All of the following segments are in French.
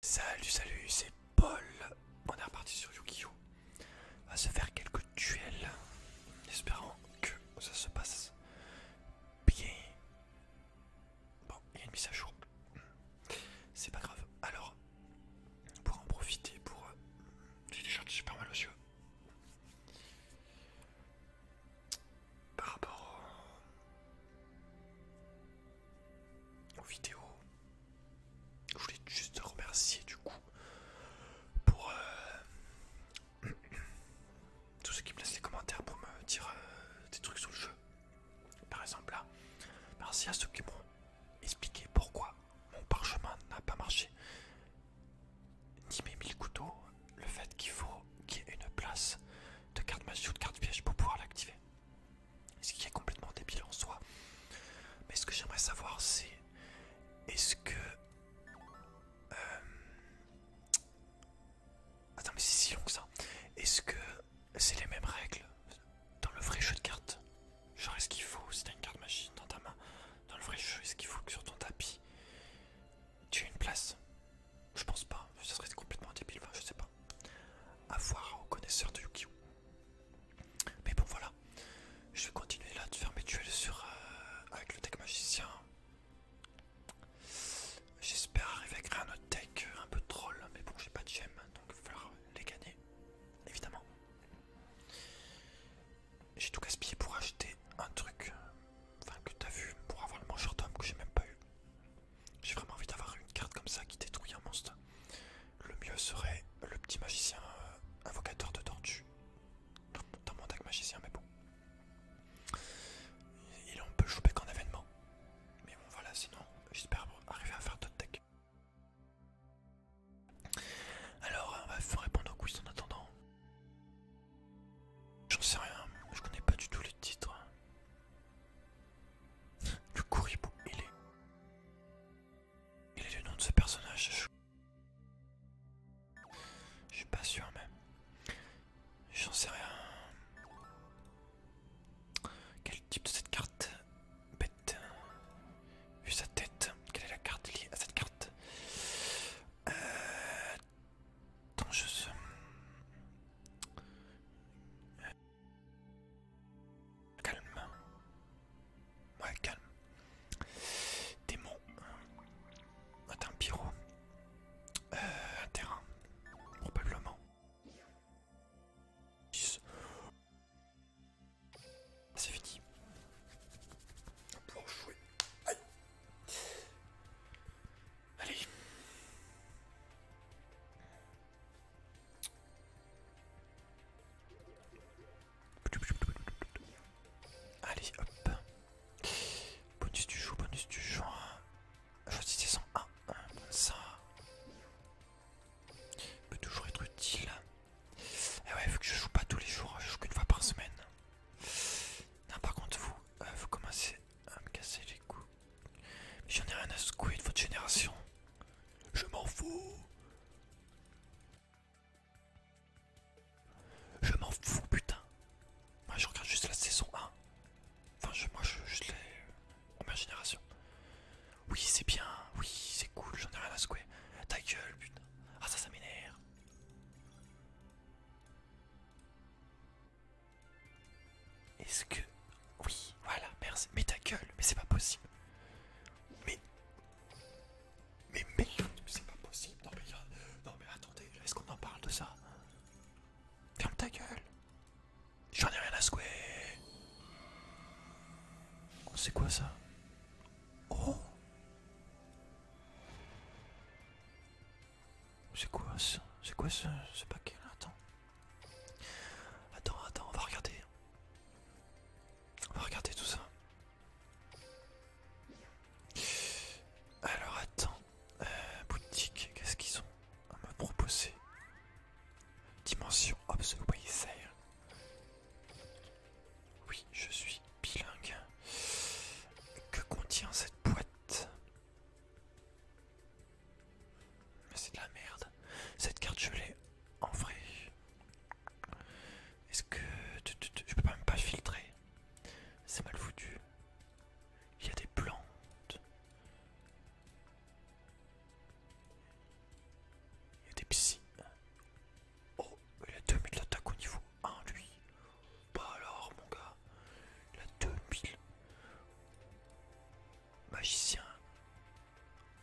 Salut, salut, c'est Paul. On est reparti sur Yu-Gi-Oh! On va se faire quelques duels. Espérant que ça se passe bien. Bon, il y a une mise à jour. C'est pas grave. Alors, pour en profiter, pour. Euh, j'ai déjà super mal aux yeux. Par rapport aux vidéos. Je voulais juste remercier du coup pour euh, tous ceux qui me laissent les commentaires pour me dire euh, des trucs sur le jeu. Par exemple là, merci à ceux qui m'ont expliqué pourquoi mon parchemin n'a pas marché. Ni mes mille couteaux, le fait qu'il faut qu'il y ait une place de carte magie ou de carte piège pour pouvoir l'activer. Ce qui est complètement débile en soi. Mais ce que j'aimerais savoir, c'est est-ce que. Euh, attends, mais c'est si long que ça. Est-ce que c'est les mêmes règles dans le vrai jeu de cartes Genre, est-ce qu'il faut, si t'as une carte machine dans ta main, dans le vrai jeu, est-ce qu'il faut que sur ton tapis tu aies une place Je pense pas, ça serait complètement débile, je sais pas à voir aux connaisseurs de yu Mais bon, voilà, je vais continuer là de faire mes duels sur, euh, avec le deck magicien. J'espère arriver à créer un autre deck euh, un peu troll, mais bon, j'ai pas de gemmes, donc il va falloir les gagner, évidemment. J'ai tout gaspillé pour acheter un truc, euh, enfin que t'as vu, pour avoir le mangeur d'homme que j'ai même pas eu. J'ai vraiment envie d'avoir une carte comme ça qui détruit un monstre. Le mieux serait le petit magicien euh, invocateur de tortue dans, mon deck magicien, mais bon. Et, là, on peut jouer qu'en événement. Mais bon, voilà, sinon, j'espère arriver à faire d'autres decks. Alors, on va répondre au quiz en attendant. J'en sais rien, je connais pas du tout les titres. Le Kuribou, il est. est le nom de ce personnage. Je suis pas sûr, mais. J'en sais rien. Quel type de cette carte Bête. Vu sa tête, quelle est la carte liée à cette carte euh... Calme. Ouais, calme. Démon. Attends, un pyro. Euh, un terrain. Probablement. C'est fini. On va pouvoir jouer. Aïe. Allez. Allez, hop. Bonus du jour, bonus du jour. Choisissez a comme ça. Peut toujours être utile. Eh ouais, vu que je joue pas tous les jours, je joue qu'une fois par semaine. Non, par contre, vous, euh, vous commencez à me casser les couilles. J'en ai rien à secouer de votre génération. Je m'en fous. Je m'en fous, putain. Moi, je regarde juste la saison 1. Enfin, je, moi, je, je l'ai. Ma génération. Oui, c'est bien. Oui, c'est cool. J'en ai rien à secouer. Ta gueule, putain. Ah, ça, ça m'énerve. Est-ce que... Oui, voilà, merci. Mais ta gueule, mais c'est pas possible. Mais... Mais mais c'est pas possible. Non mais, non, mais attendez, est-ce qu'on en parle de ça Ferme ta gueule. J'en ai rien à secouer. c'est quoi ça Oh C'est quoi ça C'est quoi ce, ce paquet là Attends. Attends, attends, on va regarder. On va regarder tout ça. Alors attends, euh, boutique, qu'est-ce qu'ils ont à me proposer Dimension of the Oui, je suis bilingue. Que contient cette boîte mais c'est de la merde. Cette carte, je l'ai en vrai. Est-ce que je peux même pas filtrer C'est mal foutu. Il y a des plantes. Il y a des psy. Oh, il a 2000 d'attaque au niveau 1 lui. Bah alors mon gars, il a 2000. Magicien.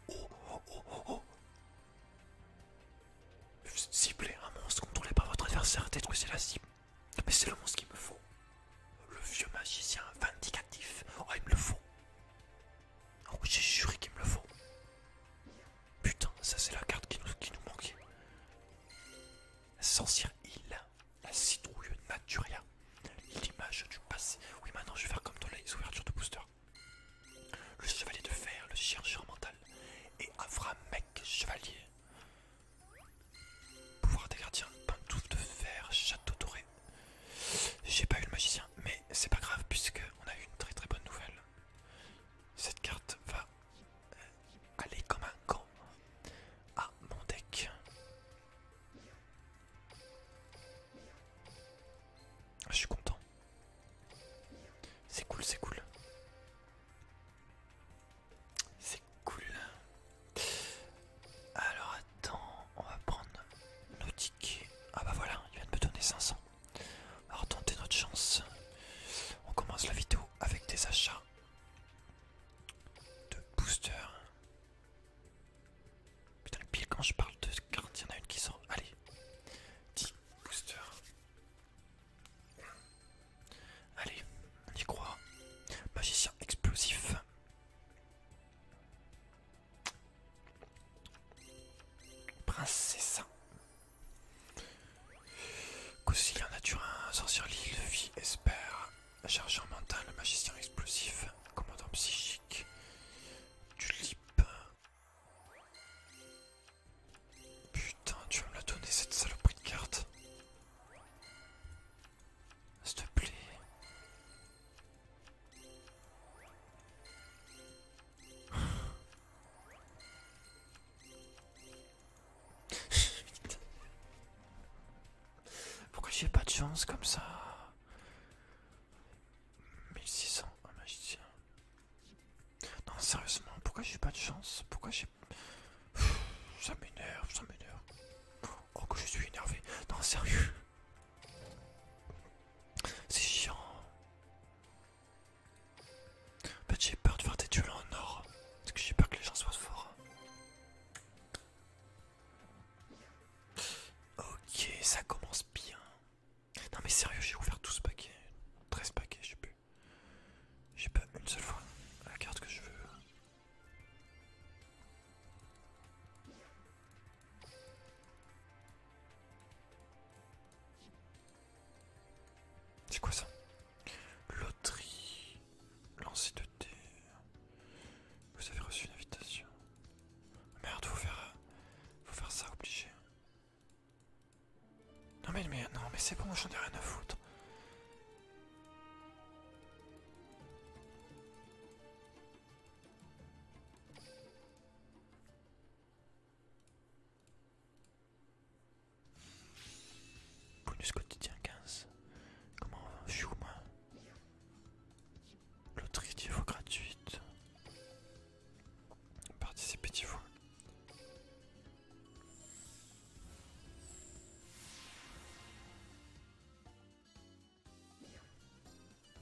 Oh, oh, oh, oh, oh. Ciblez un monstre contrôlé par votre adversaire, détruisez c'est la cible. Mais c'est le monstre qu'il me faut. Le vieux magicien vindicatif. Oh, il me le faut. Oh, j'ai juré qu'il me le faut. Putain, ça c'est la carte qui nous, qui nous manquait. Sancir Hill, la citrouille Naturia. L'image du passé. Oui, maintenant je vais faire comme dans les de booster. Le chevalier de fer, le chercheur mental. Et mec chevalier. Pouvoir des gardiens, pantoufle de fer, château doré. J'ai pas eu le magicien, mais c'est pas grave puisque on a eu une très très bonne nouvelle. Cette carte va euh, aller comme un gant à mon deck. Ah, je suis content. C'est cool, c'est cool. C'est cool. Alors attends, on va prendre nos tickets. Ah bah voilà, il vient de me donner 500. On va retenter notre chance. On commence la vidéo avec des achats de boosters. Putain, pile quand je parle de cartes, il y en a une qui sort. Allez, 10 boosters. Allez, on y croit. Magicien explosif. Princesse. Conciliant naturin, sorcier l'île, vie, espère. Chargeur mental, magicien explosif, commandant psychique, tu Putain, tu vas me la donner cette saloperie de carte. S'il te plaît. Pourquoi j'ai pas de chance comme ça 1600, un magicien. Non, sérieusement, pourquoi j'ai pas de chance Pourquoi j'ai. Ça m'énerve, ça m'énerve. Oh, que je suis énervé. Non, sérieux. C'est chiant. En fait, j'ai peur de faire des tuiles en or. Parce que j'ai peur que les gens soient forts. Ok, ça commence bien. Non mais sérieux, j'ai ouvert tout ce paquet. 13 paquets, je sais J'ai pas une seule fois la carte que je veux. C'est quoi ça Loterie, lancer de terre, vous avez reçu une invitation. Merde, faut faire, faut faire ça obligé. Non mais, non mais c'est bon, j'en ai rien à foutre. Bonus quotidien 15. Comment je suis moi Loterie vous gratuite. participez petits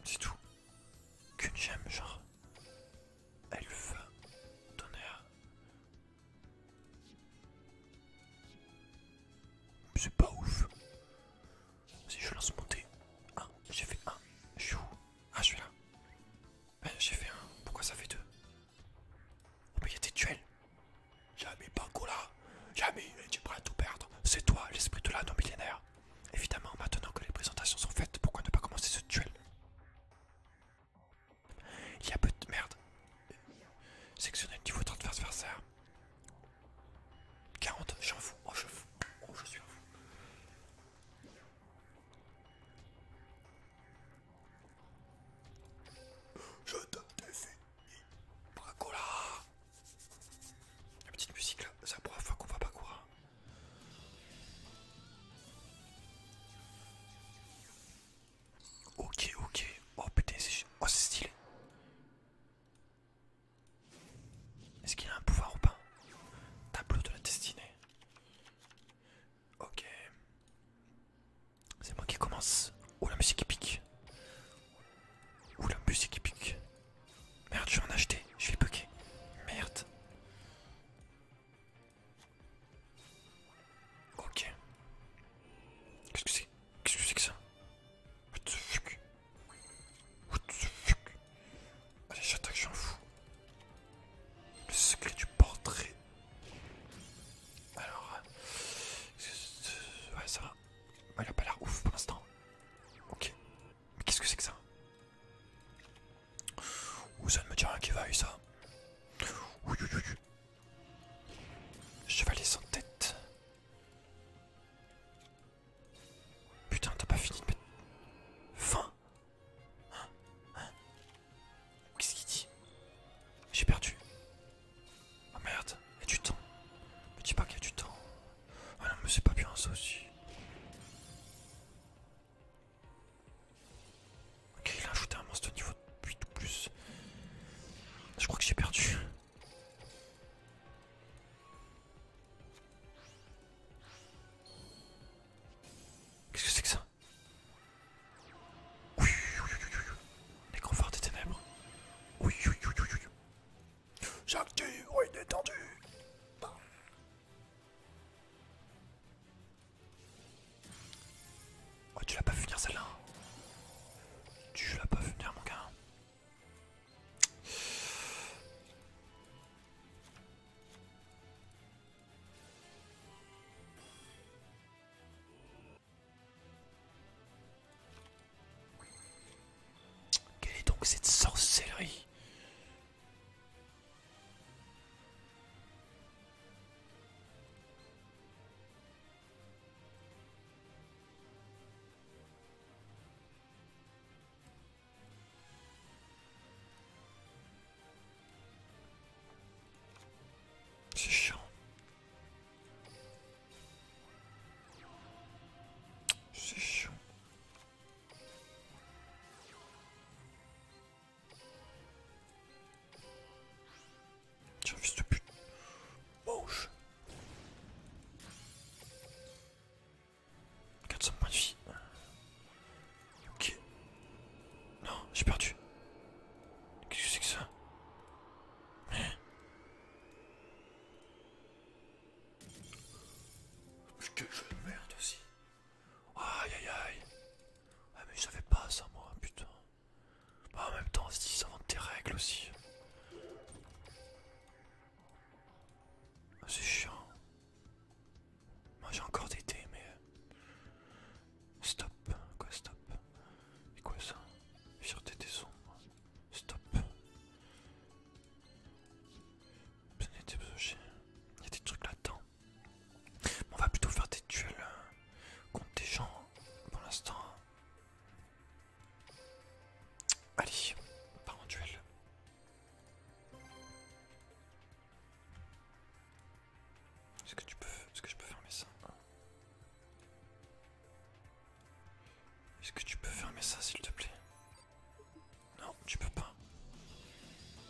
C'est tout. Qu'une gemme, genre. Elle va donner C'est pas ouf. Si je lance mon 1, j'ai fait 1, Je suis où Ah, je suis là. j'ai fait un. Pourquoi ça fait deux oh, mais il y a des duels. Jamais Banco là. Jamais, tu es prêt à tout perdre. C'est toi, l'esprit de l'anneau millénaire. Évidemment, maintenant que les présentations sont faites, pourquoi ne pas commencer ce duel Il y a peu de merde. Sectionnez le niveau transversaire. 40, j'en fous, oh je oh je suis un fou. Je te définis, Bracola La petite musique là, ça la faire qu'on va pas courir. Ok, ok, oh putain, c'est oh, stylé. Est-ce qu'il a un pouvoir ou pas Tableau de la destinée. Ok. C'est moi qui commence. Ou la musique pique Ou la musique pique Merde, je vais en acheter. Je vais bugger. Merde. Ok. Qu'est-ce que c'est Qu'est-ce que c'est que ça What the fuck Allez, j'attaque, j'en fous. Le secret du portrait. Alors, euh, ouais, ça va. Il a pas l'air ouf pour l'instant. Ok. Mais qu'est-ce que c'est que ça Ouh, ça ne me dit rien qui va vaille, ça. Ouh, ouh, ouh. Chevalier sans tête. Putain, t'as pas fini de mettre. fin. hein Hein Qu'est-ce qu'il dit J'ai perdu. oh merde, il a du temps. Me dis pas qu'il y a du temps. Ah non, mais c'est pas bien ça aussi. Ok, il a ajouté un monstre de niveau 8 ou plus. Je crois que j'ai perdu. Qu'est-ce que c'est que ça Oui, oui, oui, Les des ténèbres. Oui, oui, oui, J'active, oui, détendu. Oh, tu l'as pas finir celle-là. Tu l'as pas finir mon gars. Quelle est donc cette sorcellerie c'est chiant. C'est chiant. Tiens, fils de pute. Mange. 400 points de vie. Ok. Non, j'ai perdu. Qu'est-ce que c'est que ça Mais... Quel de merde aussi. Aïe aïe aïe. Ah mais je savais pas ça moi, putain. Bah, en même temps, ils inventent des règles aussi. Ah, c'est chiant. Moi j'ai encore des dés mais... Euh, stop. Quoi stop Et quoi ça Sur des ombres. Stop. Il y a des trucs là-dedans. On va plutôt faire des duels euh, contre des gens pour l'instant. Allez, part en duel. Est-ce que tu peux, est-ce que je peux fermer ça Est-ce que tu peux fermer ça, s'il te plaît Non, tu peux pas.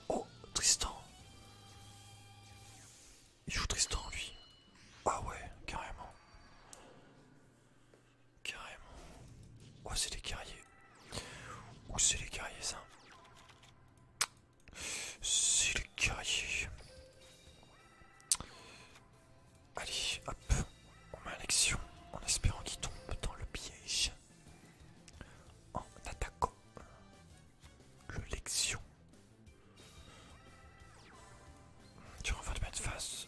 Oh, Tristan. Il joue Tristan, lui. Ah ouais, carrément. Carrément. Oh, c'est les guerriers. où c'est les guerriers, ça. C'est les guerriers. Allez, hop. On met lexion, en espérant qu'il tombe dans le piège. En attaquant le lexion. vas de mettre face.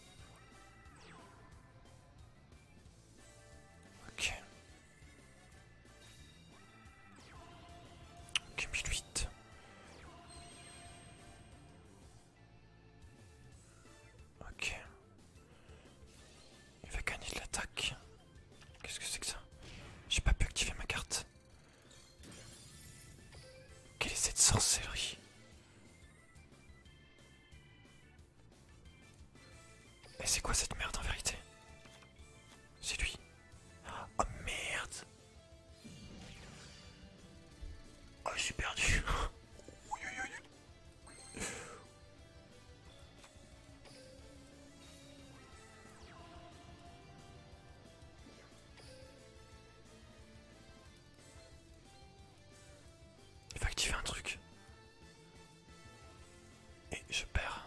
Ok. Ok, 1008. Ok. Il va gagner de l'attaque. Qu'est-ce que c'est que ça J'ai pas pu activer ma carte. Quelle est cette sorcellerie et c'est quoi cette merde en vérité C'est lui. Oh merde Oh je suis perdu Il va activer un truc. Et je perds.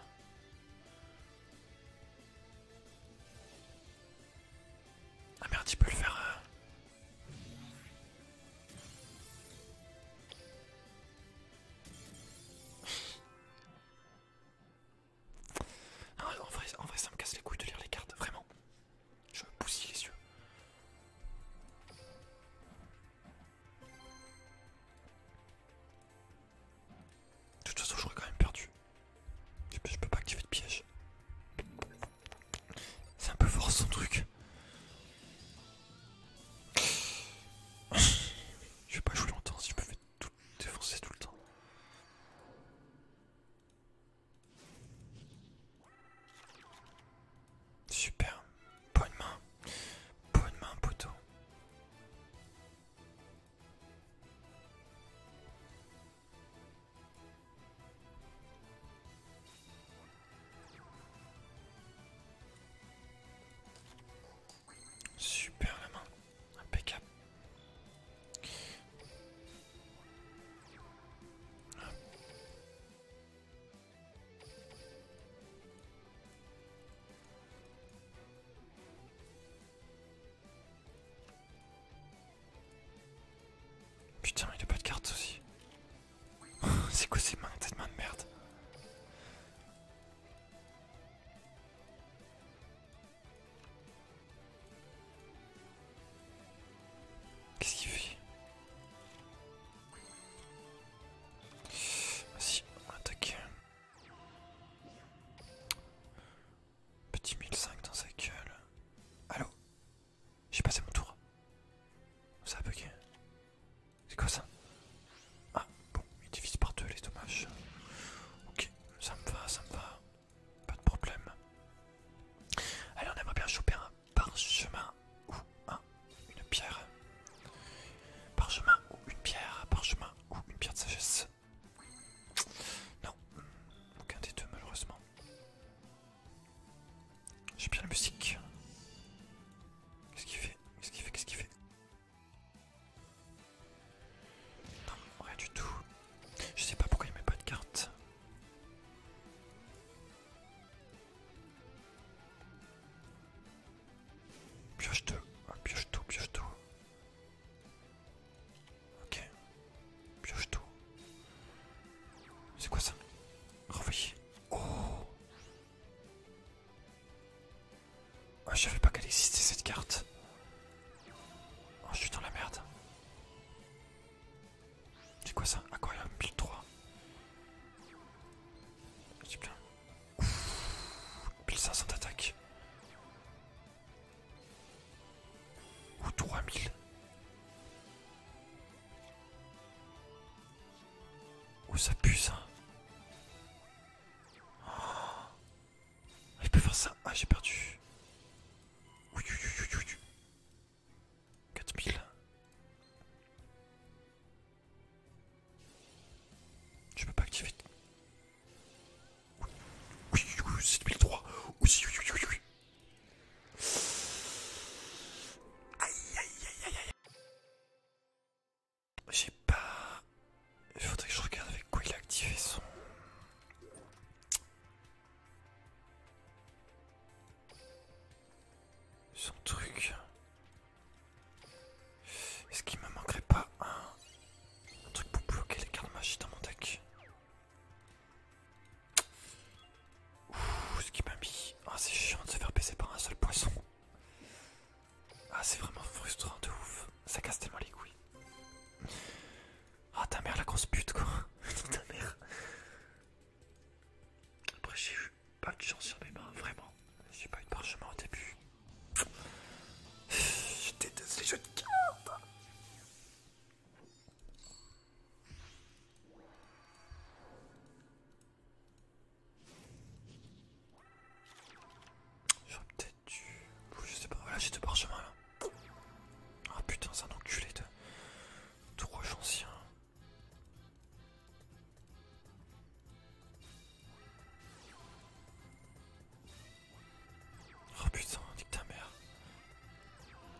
Ah merde, il peut le faire. Euh. Ah, en, vrai, ça me casse les couilles de lire les cartes, vraiment. Je me bousille les yeux. De toute façon, j'aurais quand même perdu. Je peux, pas activer de piège. C'est un peu fort son truc. Je vais pas jouer longtemps si je me fais défoncer tout le temps. Super. Bonne main. Bonne main, poteau. Super la main. Impeccable. Putain, il a pas de cartes aussi. C'est quoi ces mains, cette main de merde Qu'est-ce qu'il fait si on attaque. Petit 1005 dans sa gueule. Allô J'ai passé mon tour. Ça a bugué. C'est quoi ça Ah, bon, il divise par deux les dommages. Ok, ça me va, ça me va. Pas de problème. Allez, on aimerait bien choper un chemin ou une pierre. par chemin ou une pierre, par chemin ou une pierre de sagesse. Non, aucun des deux malheureusement. J'ai bien la musique. Qu'est-ce qu'il fait Qu'est-ce qu'il fait Qu'est-ce qui fait Non, rien du tout. Je sais pas pourquoi il met pas de carte. Pioche deux, ah, pioche tout, pioche tout. Ok, pioche tout. C'est quoi ça Renvoyer. Oh ah, je savais pas qu'elle existait cette carte. Oh, je suis dans la merde. C'est quoi ça build 3. J'ai plein. 1500 d'attaque. Ou 3000. Ou ça pue ça. Ah, il peut faire ça. Ah, j'ai perdu. 4000. Je peux pas activer. Oui, oui, oui, c'est 2003. Oui, oui, J'ai pas. Il faudrait que je regarde avec quoi il a activé son. Son truc. Est-ce qu'il me manquerait pas un... truc pour bloquer les cartes magiques dans mon deck Ouh, ce qui m'a mis. Ah, c'est chiant de se faire baisser par un seul poisson. Ah, c'est vraiment frustrant de ouf. Ça casse tellement les couilles. Ah, ta mère, la grosse pute, quoi. ta mère. Après, j'ai eu pas de chance sur mes mains, vraiment. J'ai pas eu de parchemin au début. Je déteste les jeux de cartes. J'aurais peut-être dû... Je sais pas, voilà j'ai deux parchemins là. Ah oh, putain, c'est un enculé de... Trois ancien. Oh putain, ta mère.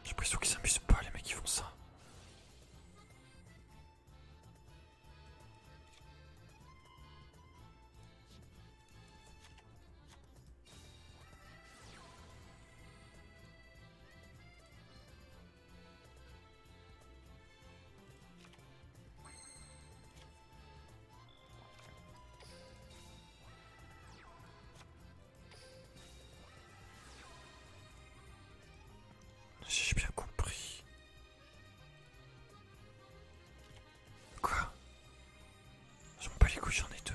J'ai l'impression qu'ils s'amusent pas les mecs qui font ça j'ai bien compris. Quoi J'en pas les couilles, j'en ai deux.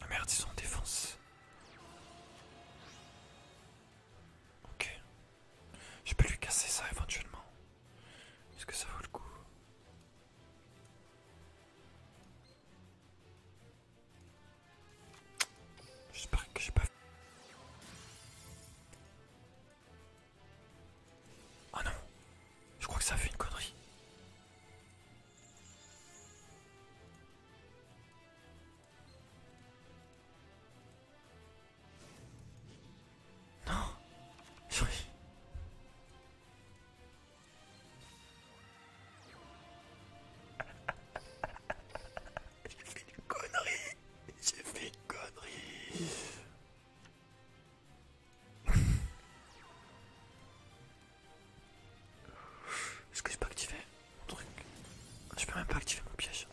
Ah merde, ils sont en défense. Ok. Je peux lui casser ça éventuellement. Est-ce que ça vaut le coup J'espère que j'ai pas Oh non je crois que ça fait une connerie. Non J'ai fait une connerie J'ai fait une connerie est-ce que j'ai pas activé mon truc Je peux même pas activer mon piège.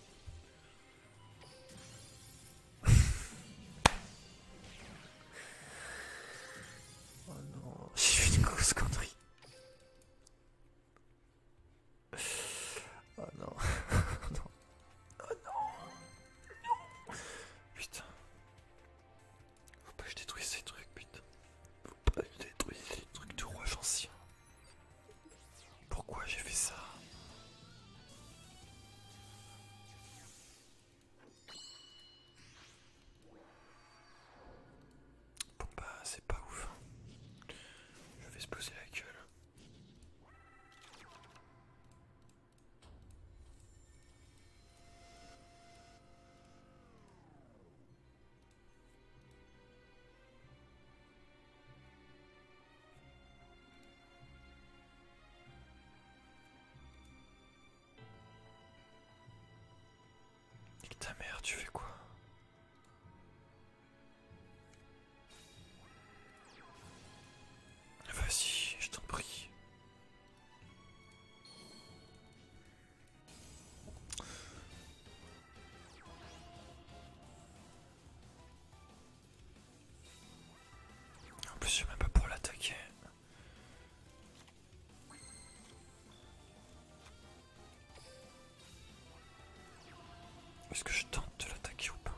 oh non, j'ai fait une grosse connerie. Oh non, oh non, oh non. Putain. Faut pas que je détruise ces trucs, putain. Faut pas que je détruise ces trucs de roi ancien. Pourquoi j'ai fait ça Bon bah c'est pas ouf. Hein. Je vais se poser la gueule. Et ta mère, tu fais quoi Vas-y, je t'en prie. En plus, je suis même pas pour l'attaquer. Est-ce que je tente de l'attaquer ou pas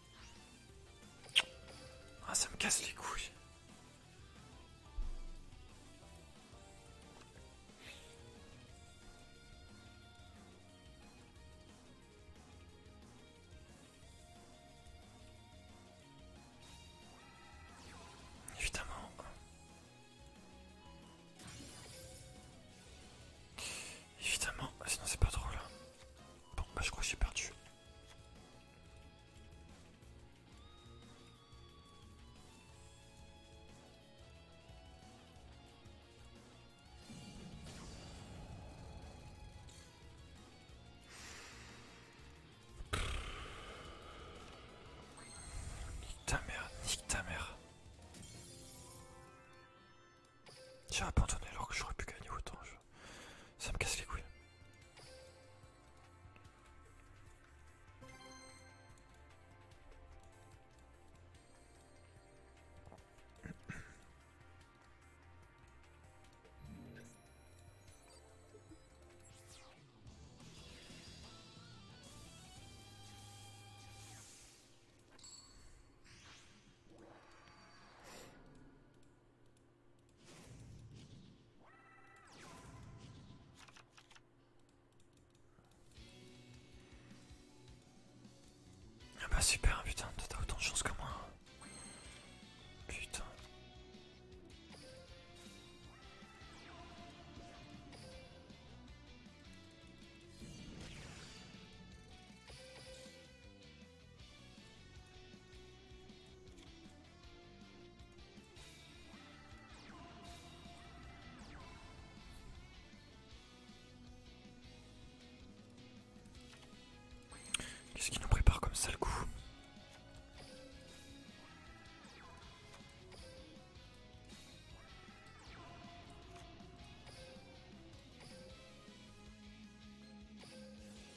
Ah, ça me casse les couilles. Évidemment. Évidemment, sinon c'est pas drôle. Hein. Bon, bah, je crois que j'ai perdu. Nique ta mère, nique ta mère. J'ai abandonné alors que j'aurais pu gagner autant. Ça me casse les couilles. Ah bah super putain, t'as autant de chance que moi. Putain. Qu'est-ce qui nous prépare comme ça le coup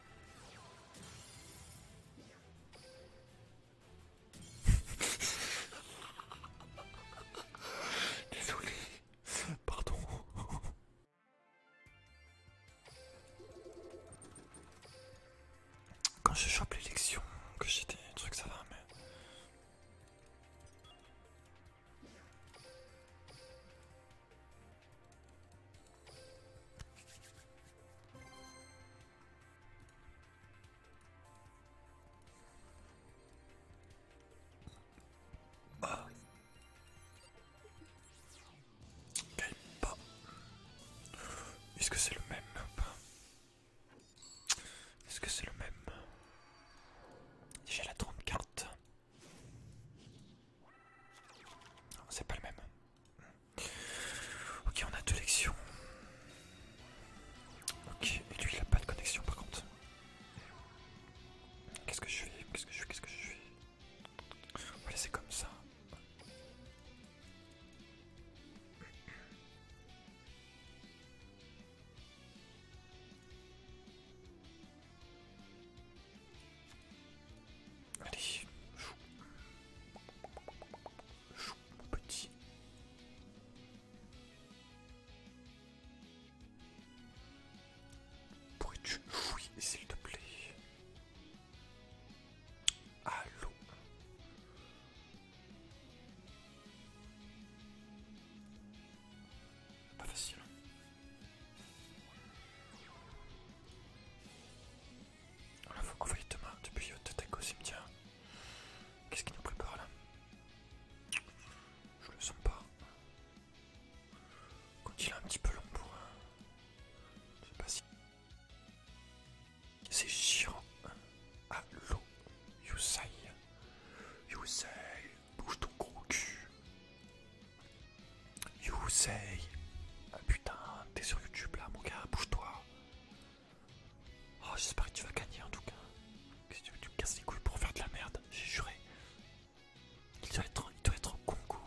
Désolé, pardon. Quand je chope l'élection, que j'étais, des truc ça va, mais. Bah. Est-ce que c'est le même Est-ce que c'est le même J'ai la trente cartes. C'est pas le même. Ok, on a deux lections. Ok, et lui il a pas de connexion par contre. Qu'est-ce que je suis Qu'est-ce que je fais Qu'est-ce que je suis comme ça. Allez, chou. Chou, mon petit. Pourrais-tu jouer, s'il te plaît Allô Pas facile. On l'a voyait demain depuis euh, Totec au cimetière. Qu'est-ce qu'il nous prépare là Je le sens pas. Quand il est un petit peu long pour. Euh, je sais pas si. C'est Allo. You say. Yusai. Yusai, bouge ton gros cul. You say. Ah, putain, t'es sur YouTube là, mon gars, bouge-toi. Oh, j'espère que tu vas gagner en tout cas. que tu, me casses les couilles pour faire de la merde J'ai juré. Il doit être, il doit être en Congo.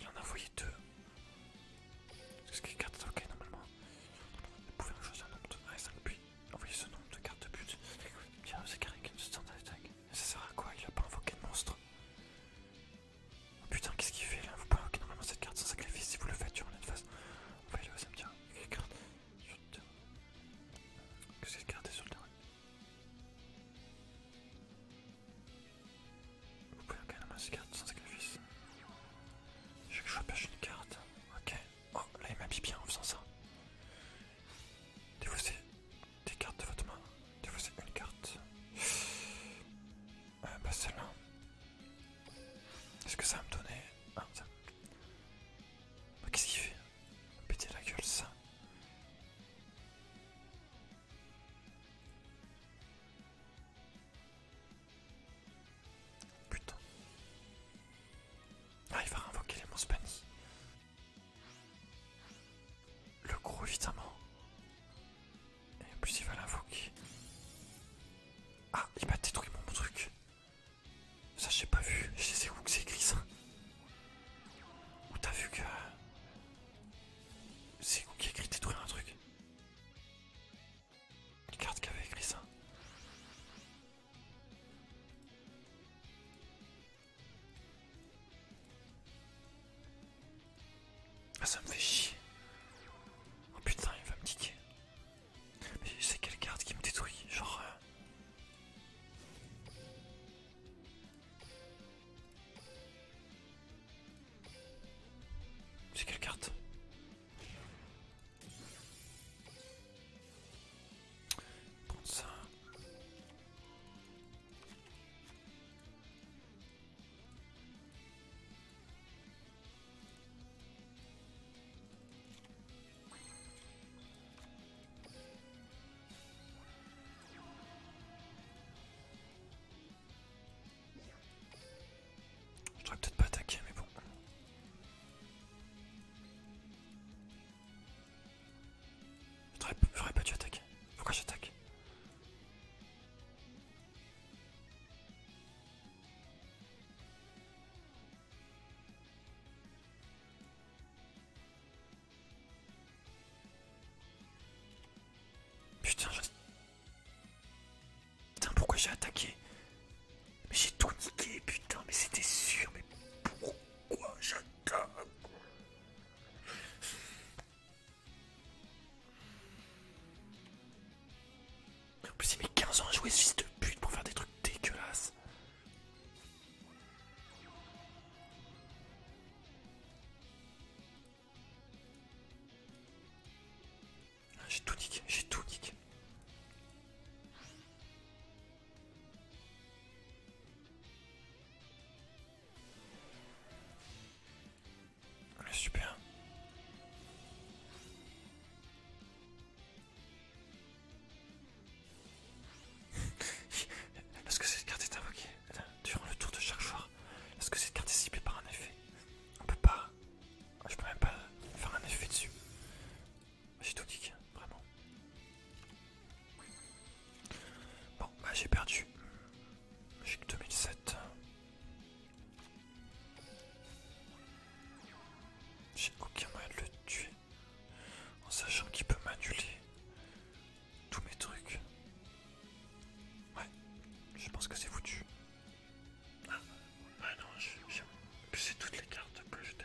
Il en a envoyé deux. ce qui est carte ok normalement. Vous pouvez en choisir un nombre de 1 5 puis envoyer ce nombre de cartes de but. Tiens, c'est carré une standard attack. Mais ça sert à quoi Il a pas invoqué de monstre. Oh putain, qu'est-ce qu'il fait là Vous pouvez invoquer normalement cette carte sans sacrifice si vous le faites sur une phase. On va aller au cimetière. Quelle carte sur le terrain Que cette carte est sur le terrain vous pouvez regarder un cartes sans sacrifice. Je vais que je pêche une carte. Ok. Oh, là il m'habille bien en faisant ça. Défaussez des cartes de votre main. Défaussez une carte. Euh, bah celle-là. Est-ce que ça va me donner... Ah, ça... Bah, qu'est-ce qu'il fait Péter la gueule ça Putain. Ah, il va réinvoquer les monstres Le gros, évidemment. Et en plus, il va l'invoquer. Ah, il m'a détruit mon truc. Ça, j'ai pas vu. Je sais où que c'est écrit ça. Où t'as vu que. C'est qui a écrit détruire un truc Une carte qui avait écrit ça. Ah ça me fait chier. Oh putain il va me tiquer. Mais c'est quelle carte qui me détruit Genre... Euh, c'est quelle carte ça. Je devrais peut-être pas attaquer, mais bon. Je J'aurais pas dû attaquer. Pourquoi j'attaque Putain, je... Putain, pourquoi j'ai attaqué Mais j'ai tout niqué, putain, mais c'était sûr, mais pourquoi j'attaque En plus, il met 15 ans à jouer ce fils de pute pour faire des trucs dégueulasses. Ah, j'ai tout niqué, j'ai tout niqué. Le ah, super. que cette carte est invoquée durant le tour de chaque choix. Est-ce que c'est carte par un effet On peut pas. Ah, je peux même pas faire un effet dessus. J'ai tout vraiment. Bon, bah j'ai perdu. J'ai 2007. J'ai aucun moyen de le tuer en sachant qu'il peut m'annuler tous mes trucs. Ouais, je pense que c'est foutu. Ah, ouais, non, j'ai c'est toutes les cartes que j'étais.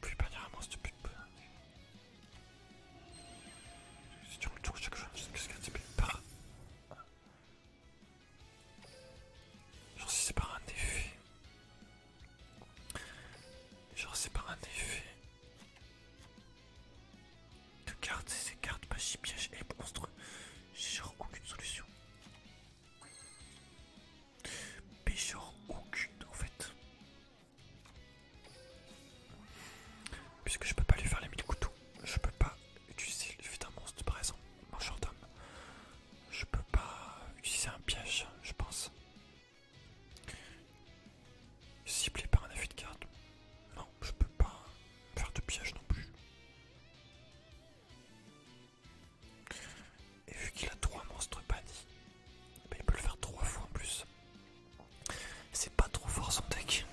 Plus de cette pute. Si tu le tour, chaque sais pas ce qu'un type par. Genre, si c'est par un défi Genre, c'est par un défi de cartes, c'est ces cartes magie, piège et monstre. J'ai genre aucune solution. Mais genre aucune en fait. Puisque je peux pas lui faire les mille couteaux, je peux pas utiliser le fait d'un monstre par exemple, mangeur d'homme. Je peux pas utiliser un piège, je pense. Ciblé par un affût de carte. Non, je peux pas faire de piège non plus. Et vu qu'il a trois monstres pas ben, il peut le faire trois fois en plus. C'est pas trop fort son deck.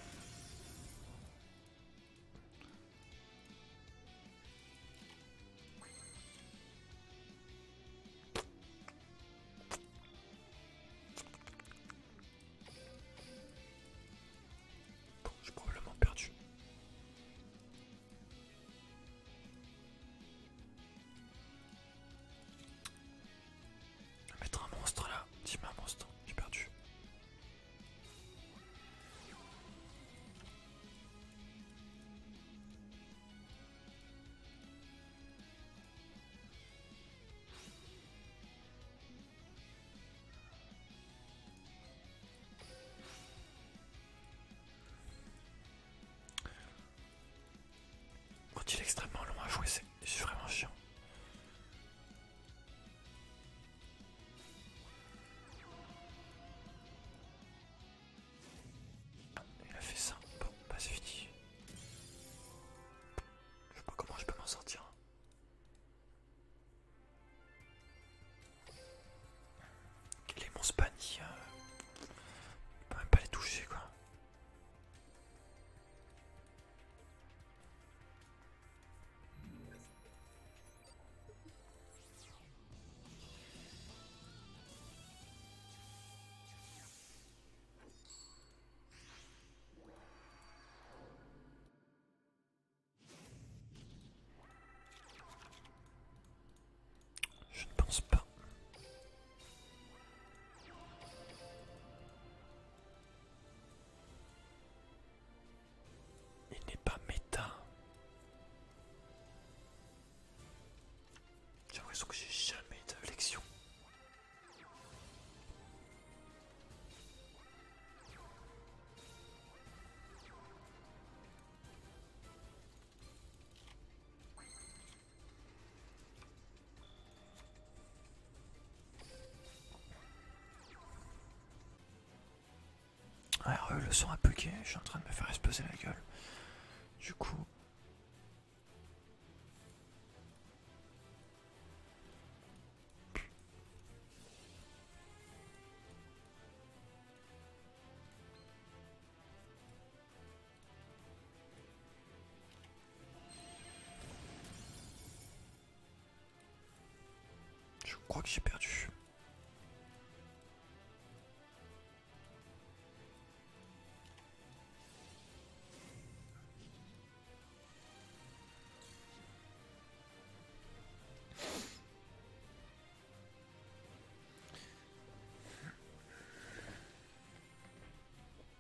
Bon, j'ai probablement perdu. Je mettre un monstre là. Si je j'ai perdu. Quand il est extrêmement long à jouer, c'est vraiment chiant. Ah, il a fait ça. Bon, pas bah, je sais pas comment je peux m'en sortir. Les monstres bannis, je ne peux même pas les toucher quoi. Je ne pense pas. Il n'est pas méta. J'ai l'impression que j'ai jamais à l'élection. Alors, ah, le son a bugué, je suis en train de me faire exploser la gueule. Du coup, je crois que j'ai perdu.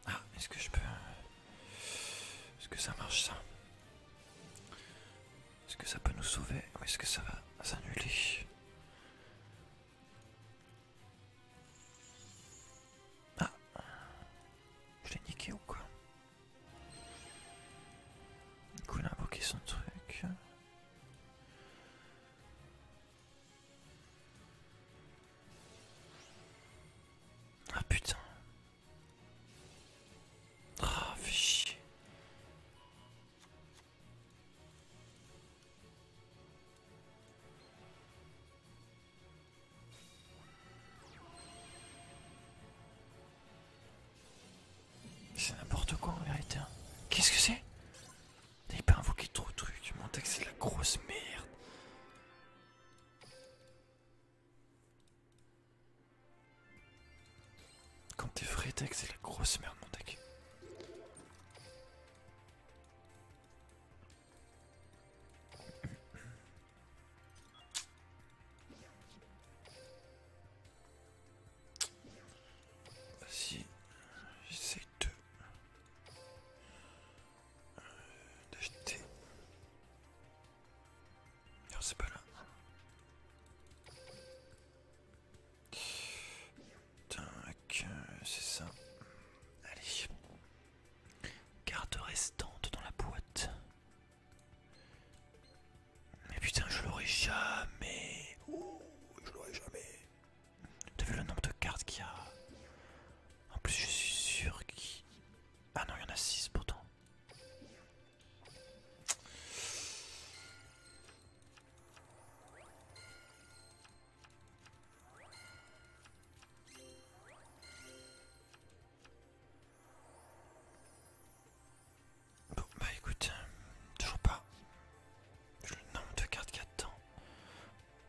Ah, est-ce que je peux... Est-ce que ça marche ça Est-ce que ça peut nous sauver ou est-ce que ça va s'annuler ah Je l'ai niqué ou quoi Du coup il a invoqué son truc. Ah putain Ah fais chier c'est n'importe quoi en vérité. Hein. Qu'est-ce que c'est T'as pas invoqué trop de trucs. Mon deck c'est la grosse merde. Quand t'es vrai deck, c'est la grosse merde mon deck. Si j'essaie de de jeter, Non c'est pas là. Tac, euh, c'est ça. Allez. Carte restante dans la boîte. Mais putain, je l'aurai jamais. Oh, je l'aurais jamais. T'as vu le nombre de cartes qu'il y a En plus, je suis sûr qu'il. Ah non, il y en a 6 pourtant bah écoute, euh, toujours pas. Le nombre de cartes qu'il y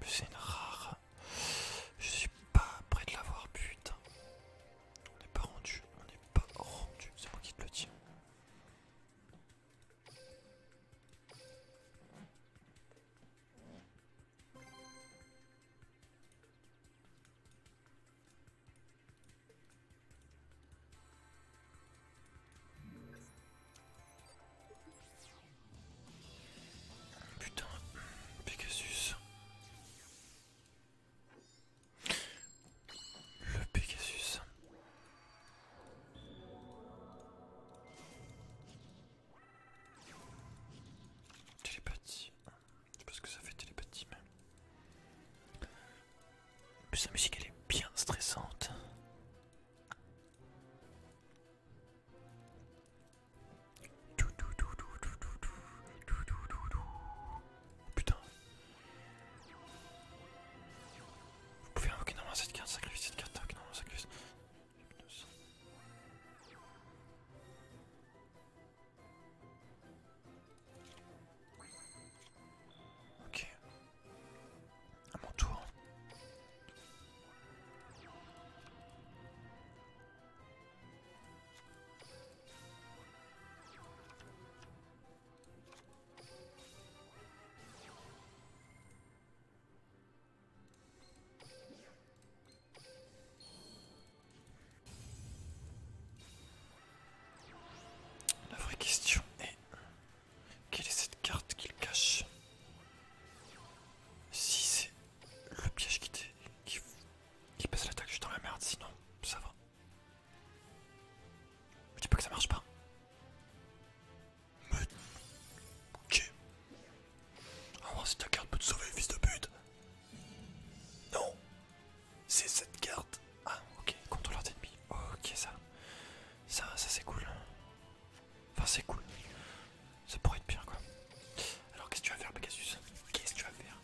c'est une rare. Je suis pas prêt de l'avoir, putain. On n'est pas rendu, on n'est pas rendu. C'est moi qui te le dis. Putain, Pegasus. Le Pegasus. Télépathie. Je sais pas ce que ça fait télépathie, mais. En musique elle est bien stressante. Putain. Vous pouvez invoquer normalement cette carte, sacrifier cette carte, invoquer normalement Ok. À mon tour. La vraie question est quelle est cette carte qu'il cache Si c'est le piège qui, qui, qui l'attaque, je suis dans la merde, sinon ça va. Je dis pas que ça marche pas. Ah oh, si ta carte peut te sauver, fils de pute Non C'est cette carte Ah, ok, contrôleur d'ennemis. Ok, ça. Ça, ça c'est cool. Enfin, c'est cool. Ça pourrait être pire, quoi. Alors, qu'est-ce que tu vas faire, Pegasus Qu'est-ce que tu vas faire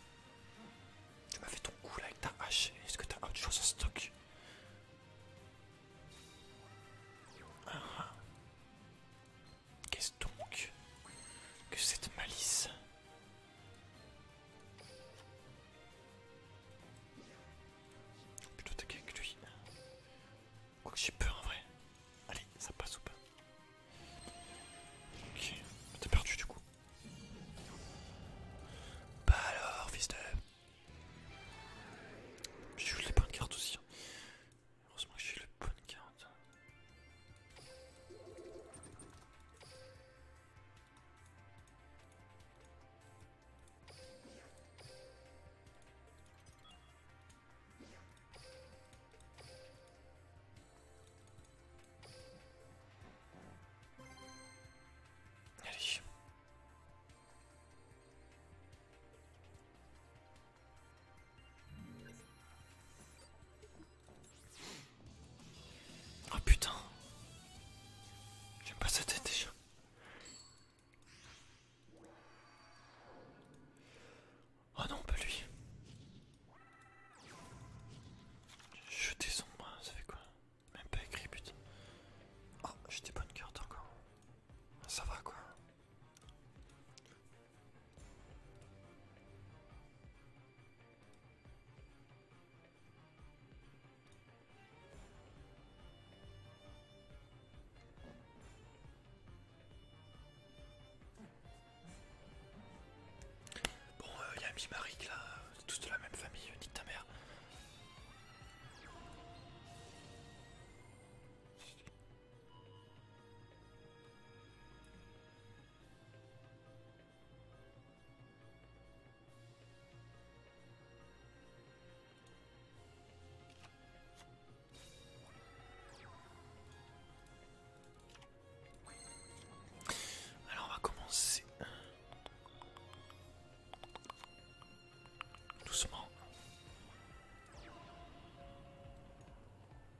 Tu m'as fait ton coup là avec ta hache. Est-ce que tu as autre chose en stock ah. ah. Qu'est-ce donc que cette malice Plutôt taquer que lui. Quoi que j'ai peur en vrai. Allez, ça passe ou pas Ok, t'es perdu du coup. Bah alors, fils de. J'ai eu les bonnes cartes aussi. Hein. Heureusement que j'ai le bonne carte. Allez oh, putain. J'aime pas cette tête déjà. Oh non, pas lui. Jeter son ombres, ça fait quoi Même pas écrit, putain. Oh, j'ai pas bonnes carte encore. Ça va quoi Bon, il euh, y a là, tous de la même famille, euh, dit ta mère. Alors on va commencer doucement.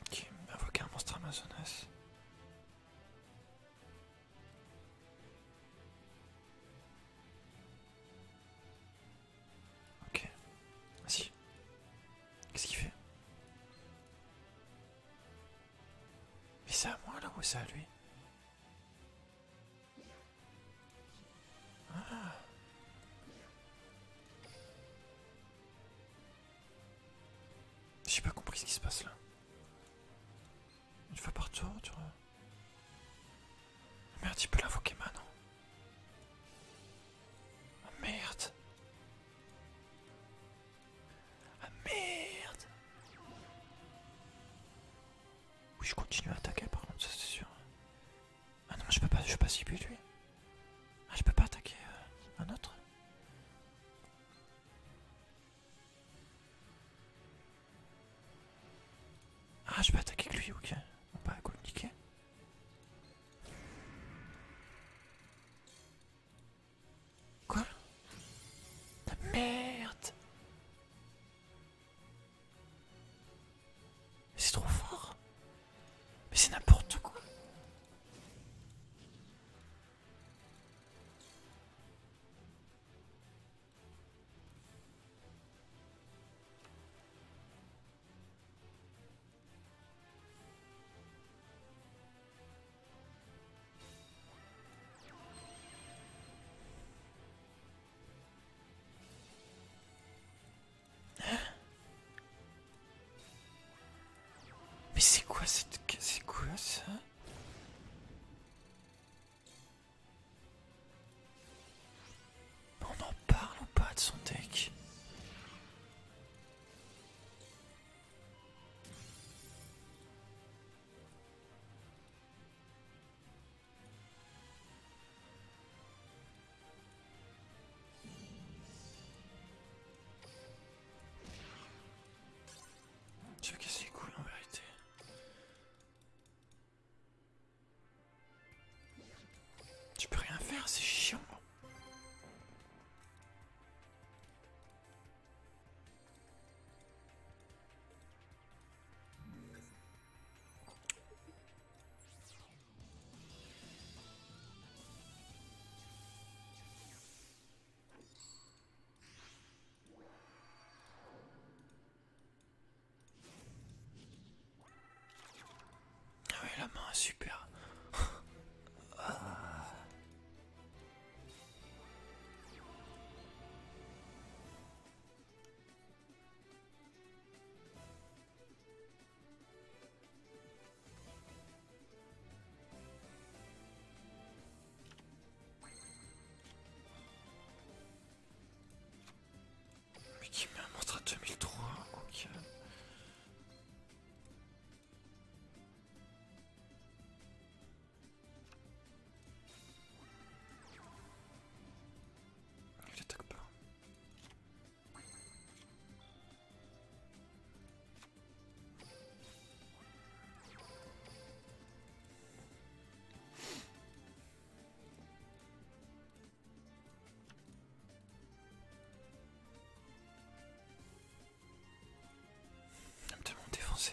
Ok, invoquer un monstre amazonas. Ok. si. Qu'est-ce qu'il fait Mais c'est à moi là ou ça lui ah. J'ai pas compris ce qui se passe là. Une fois par tu vois. Ah, merde, il peut l'invoquer maintenant. Ah, merde. Ah merde Oui je continue à attaquer par contre, ça c'est sûr. Ah non je peux pas, je peux pas cibler lui. Ah je peux pas attaquer euh, un autre Ah je peux attaquer lui, ok. On va communiquer. Quoi La merde C'est trop fort Mais c'est n'importe quoi Hein Mais c'est quoi cette... C'est quoi ça On en parle ou pas de son deck je veux les en vérité. Tu peux rien faire, c'est chiant. Ah la main est super. Mais qui me montre à 2003 Ok. Ah, il attaque pas. Il va défoncer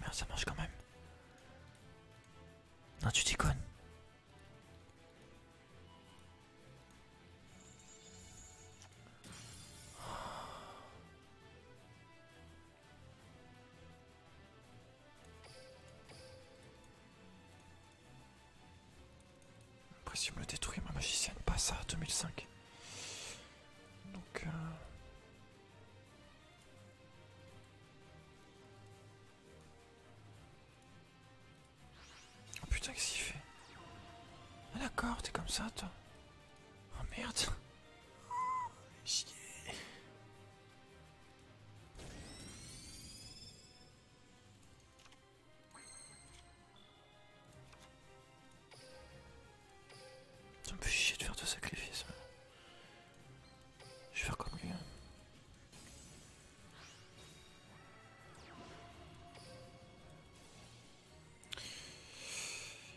Merde, ah, ça marche quand même. Non, tu tu me le détruire ma magicienne, pas ça, 2005. Donc. Euh, oh, putain, qu'est-ce qu'il fait Ah d'accord, t'es comme ça toi Oh merde ça me fait chier de faire de sacrifices. Je vais faire comme lui. Hein.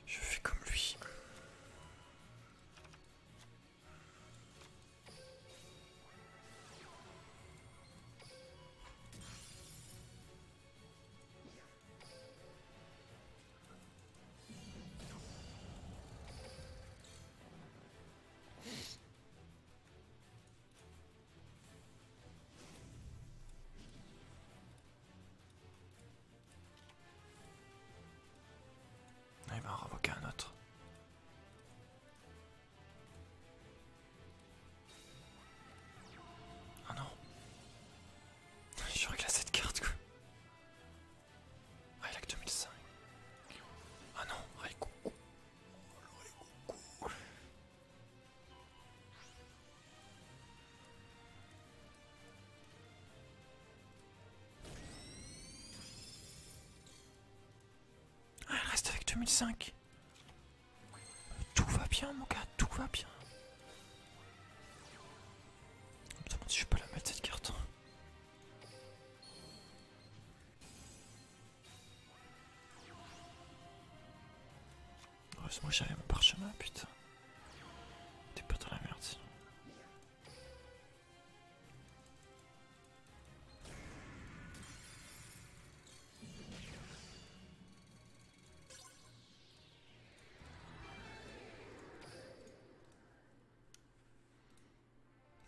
Je fais comme lui. Ah, il va en un autre. Ah non J'aurais que cette carte quoi Ah il a que 2005 Ah non Raikoukou Oh le Ah elle reste avec 2005 tout va bien mon gars, tout va bien. Je si je peux la mettre cette carte. Heureusement j'avais mon parchemin putain. T'es pas dans la merde sinon.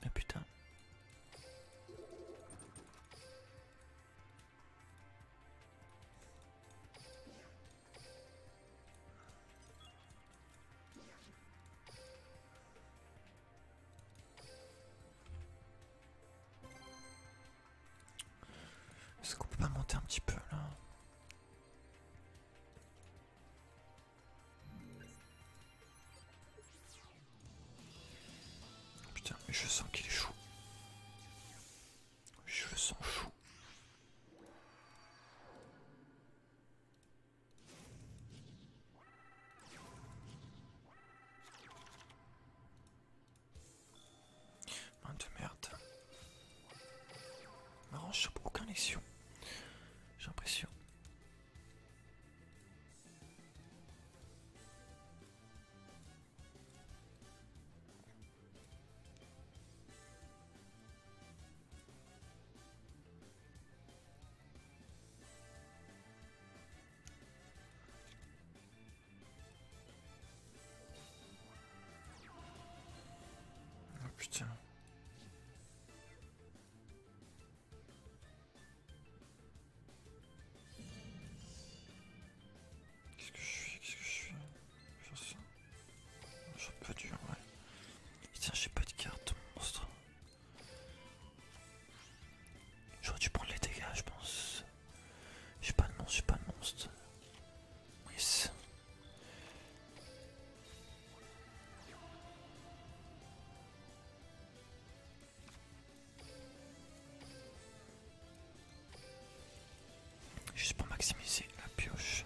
Mais ah, putain. Est-ce qu'on peut pas monter un petit peu là Putain, mais je sens qu'il est chaud. Je le sens chaud. Main de merde. Marrant, je chope aucun lexion. J'ai l'impression. Oh putain. Qu'est-ce que je suis Qu'est-ce que je suis Je suis pas dur, ouais. Tiens, j'ai pas de carte, monstre. J'aurais dû prendre les dégâts, je pense. Je J'ai pas non je suis pas monstre. Oui. Je pas pour maximiser la pioche.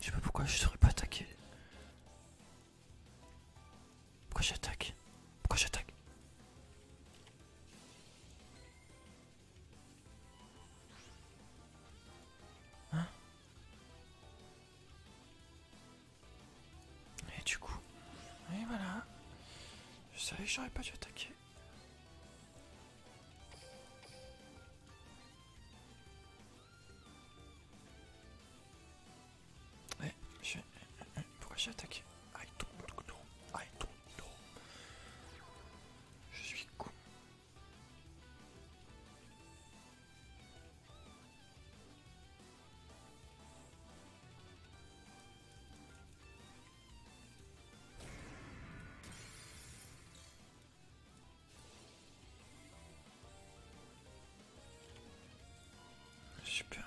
Je sais pas pourquoi je saurais pas attaqué. Pourquoi j'attaque Pourquoi j'attaque Hein Et du coup... Et voilà. Je savais que j'aurais pas dû attaquer. Eh, je... Euh, euh, pourquoi j'ai attaqué I don't know. Je suis con. Super.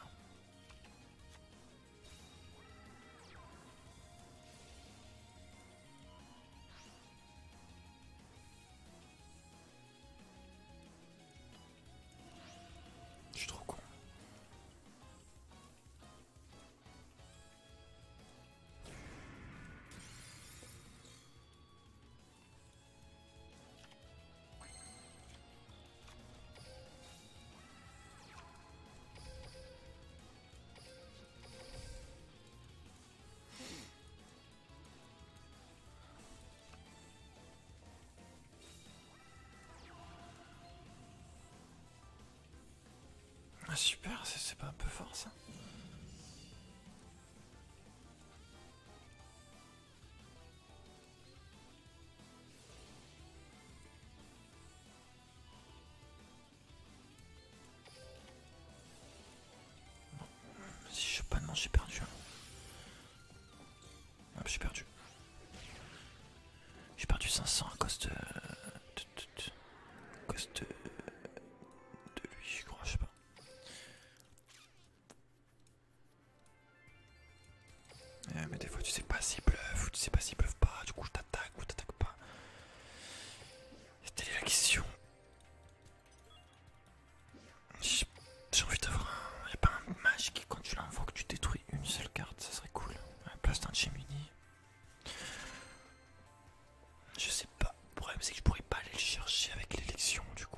Je suis trop con. Ah super, c'est pas un peu fort ça si je pas de manche, hein. j'ai perdu. j'ai perdu. J'ai perdu 500 à cause de. à cause de. de lui, je crois, je sais pas. Eh, mais des fois tu sais pas s'ils bluffent ou tu sais pas s'ils peuvent pas, du coup je t'attaque ou t'attaque pas. C'était la question. J'ai envie d'avoir un. a pas un mage qui, quand tu l'envoies que tu détruis une seule carte, ça serait cool. un place d'un chimini Je sais le problème, c'est que je pourrais pas aller le chercher avec l'élection, du coup.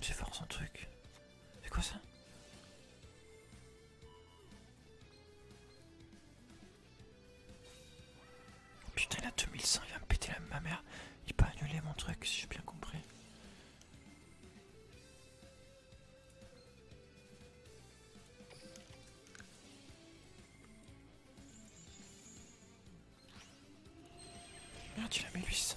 j'ai fort son truc. C'est quoi ça Putain, il a 2100, il me péter la ma mère. Il peut annuler mon truc, si j'ai bien compris. Merde, il a 800.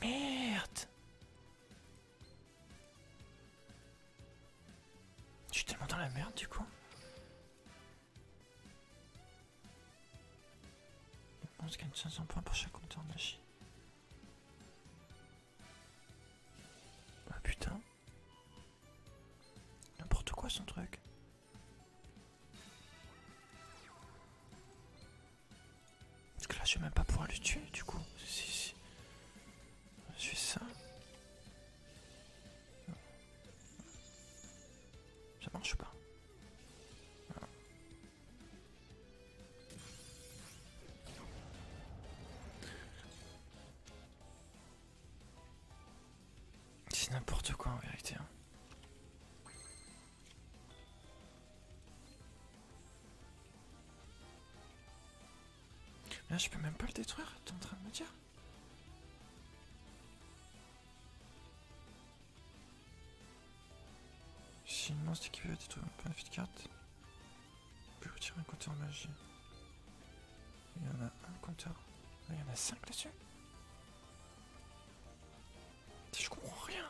Merde Je suis tellement dans la merde du coup. On se gagne 500 points pour chaque compteur de machine. Ah putain. N'importe quoi son truc. Parce que là je vais même pas pouvoir le tuer du coup. Si, si. Je suis ça. Ça marche pas. C'est n'importe quoi en vérité. Hein. Là, je peux même pas le détruire, t'es en train de me dire J'ai une monstre qui veut détruire un point de carte. Je peux retirer un côté en magie. Il y en a un compteur. Il y en a 5 là-dessus. Je comprends rien.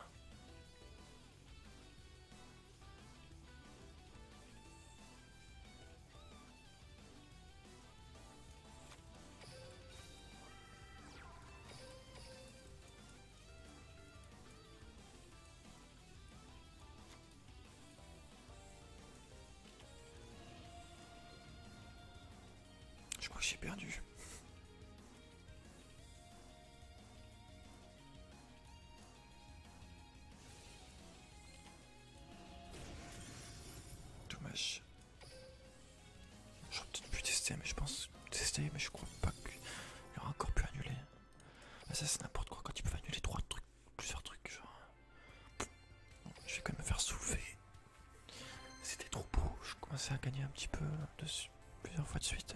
Je crois que j'ai perdu. Dommage. J'aurais peut-être pu tester, mais je pense tester, mais je crois pas qu'il aura encore pu annuler. ça c'est n'importe quoi quand tu peux annuler trois trucs plusieurs trucs, genre. Je vais quand même me faire soulever. C'était trop beau, je commençais à gagner un petit peu plusieurs fois de suite.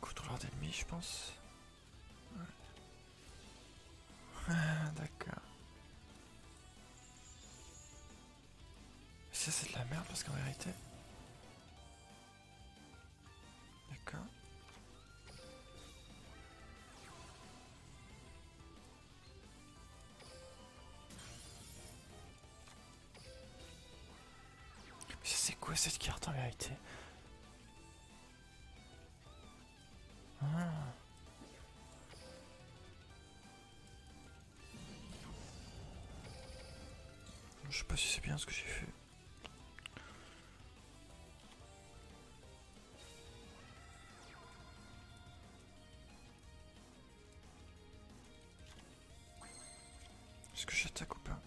Contrôleur d'ennemis, je pense. Ah, d'accord. Ça c'est de la merde parce qu'en vérité... D'accord c'est quoi cette carte en réalité ah. Je sais pas si c'est bien ce que j'ai fait. Est-ce que j'attaque ou pas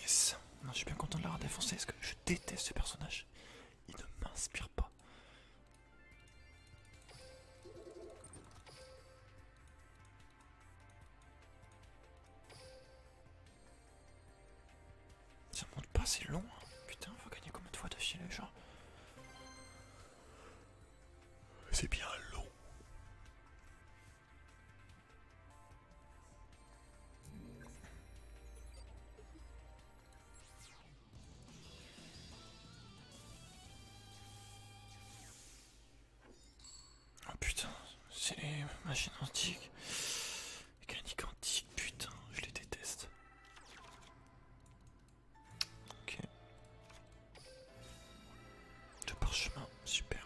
Yes, je suis bien content de l'avoir défoncé parce que je déteste ce personnage. Il ne m'inspire pas. Ça monte pas, c'est long. Hein. Putain, on gagner combien de fois de les genre C'est bien long. Oh putain, c'est les machines antiques. Avec un Nicantique, putain, je les déteste. Ok. Deux parchemins, super.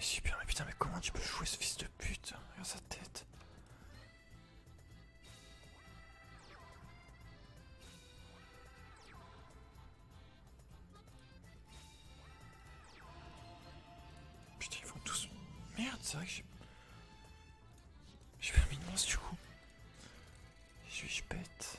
super, mais putain, mais comment tu peux jouer ce fils de pute Regarde sa tête. Putain, ils vont tous. Merde, c'est vrai que j'ai. J'ai pas mis de mince du coup. Je suis bête.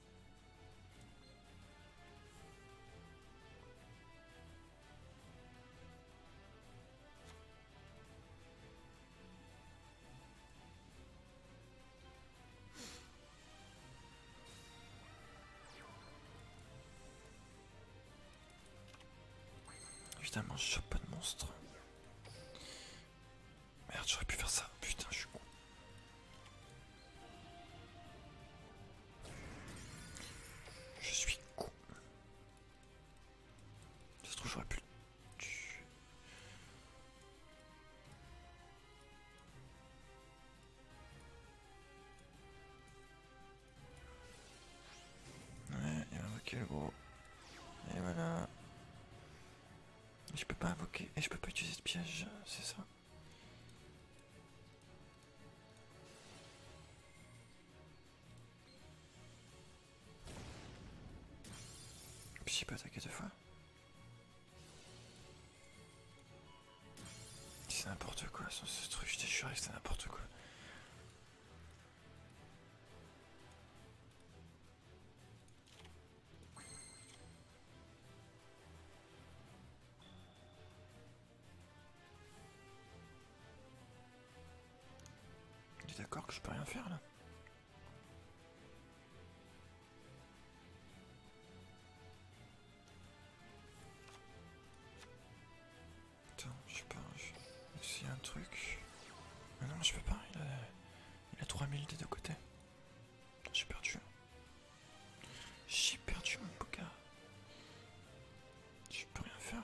Évidemment, je chope pas de monstre. Merde, j'aurais pu faire ça. Putain, je suis con. Je suis con. Ça se trouve, j'aurais plus. Ouais, il m'a invoqué le gros. Et voilà. Je peux pas invoquer et je peux pas utiliser de piège, c'est ça. Psy pas attaquer de fois. C'est n'importe quoi, ce truc, je t'ai juré que c'est n'importe quoi. Il est d'accord que je peux rien faire là Attends, je sais pas, un truc. Mais ah non, je peux pas, il a, 3000 des deux côtés, J'ai perdu. Hein. J'ai perdu mon bouquin. Je peux rien faire.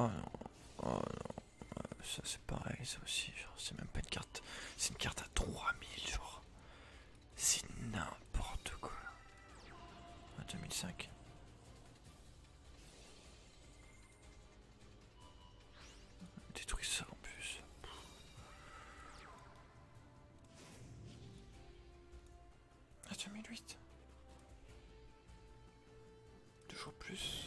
Oh non, oh non, ça c'est pareil, ça aussi, genre c'est même pas une carte, c'est une carte à 3000, genre, c'est n'importe quoi. À 2005. Détruis ça en plus. À 2008. Toujours plus.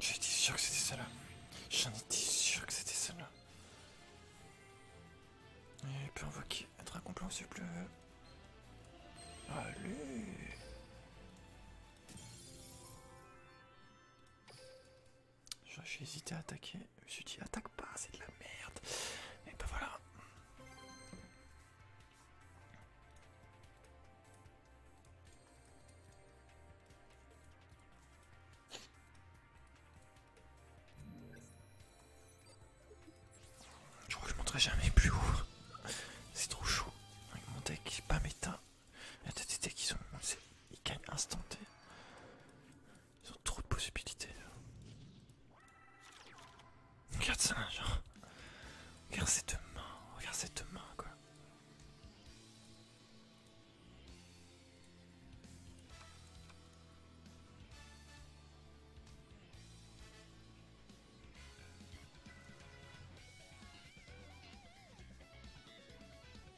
J'étais sûr que c'était celle là. J'en étais sûr que c'était celle là. Et peut invoquer un dragon blanc s'il pleut. Allez j'ai hésité à attaquer. Je me suis dit, attaque pas, c'est de la merde. Et ben voilà. Je crois que je monterai jamais plus haut. C'est trop chaud. Avec mon deck pas méta. Attends, t'es qu'ils sont. Ils gagnent instantanément Ils ont trop de possibilités. Là. Regarde ça, genre. Regarde cette main, Regarde cette main quoi.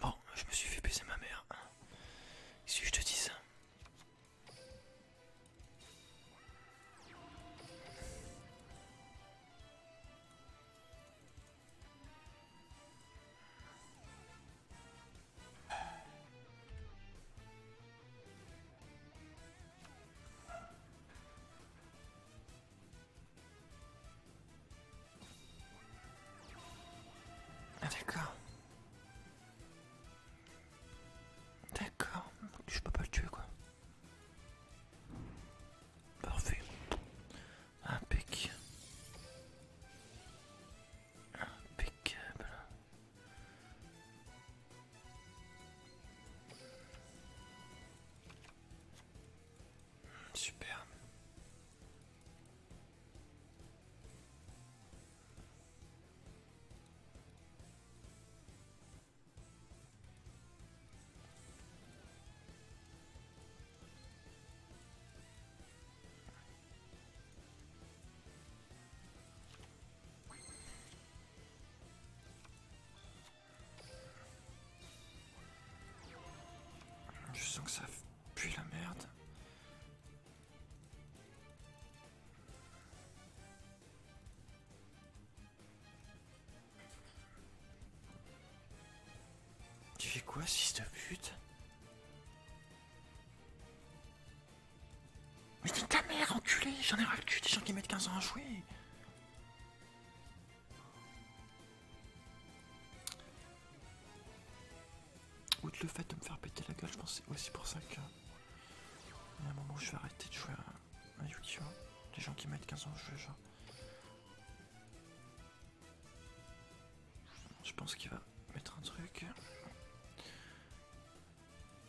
Bon, je me suis fait baisser ma mère. Hein. Si je te dis ça. Ah, d'accord. D'accord. Je peux pas le tuer quoi. Parfait. Un pic Superbe. Super. Je sens que ça pue la merde. Tu fais quoi, si' de pute mais dis ta mère, enculé J'en ai ras le cul des gens qui mettent 15 ans à jouer Outre le fait de me faire péter la gueule, je pense que c'est aussi pour ça que... Il y a un moment où je vais arrêter de jouer à, YouTube. Des gens qui mettent 15 ans à jouer, genre... Je pense qu'il va mettre un truc.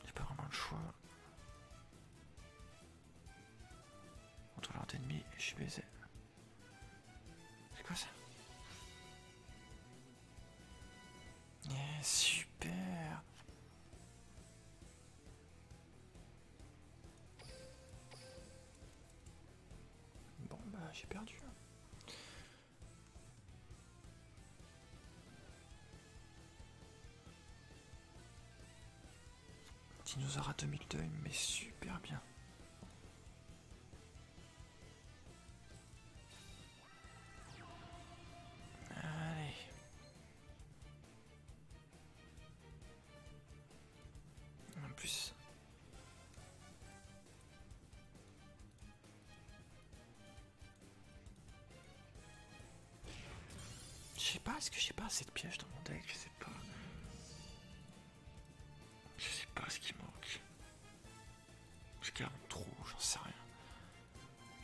J'ai pas vraiment le choix. l'ordre d'ennemis, je suis baisé. C'est quoi ça eh, Super Bon bah j'ai perdu. Hein. Dinosaure à demi-deuil, mais super bien. Allez. En plus. Je sais pas, est-ce que j'ai pas assez de pièges dans mon deck Je sais pas. Je sais pas ce qui manque. Je garde trop, j'en sais rien.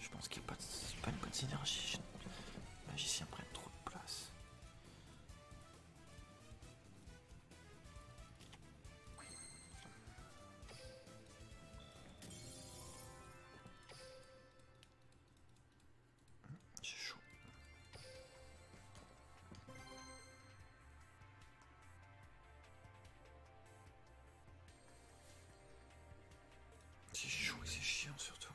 Je pense qu'il n'y a pas, pas une bonne synergie. Les magiciens prennent trop de place. C'est chaud. C'est chaud et c'est chiant surtout.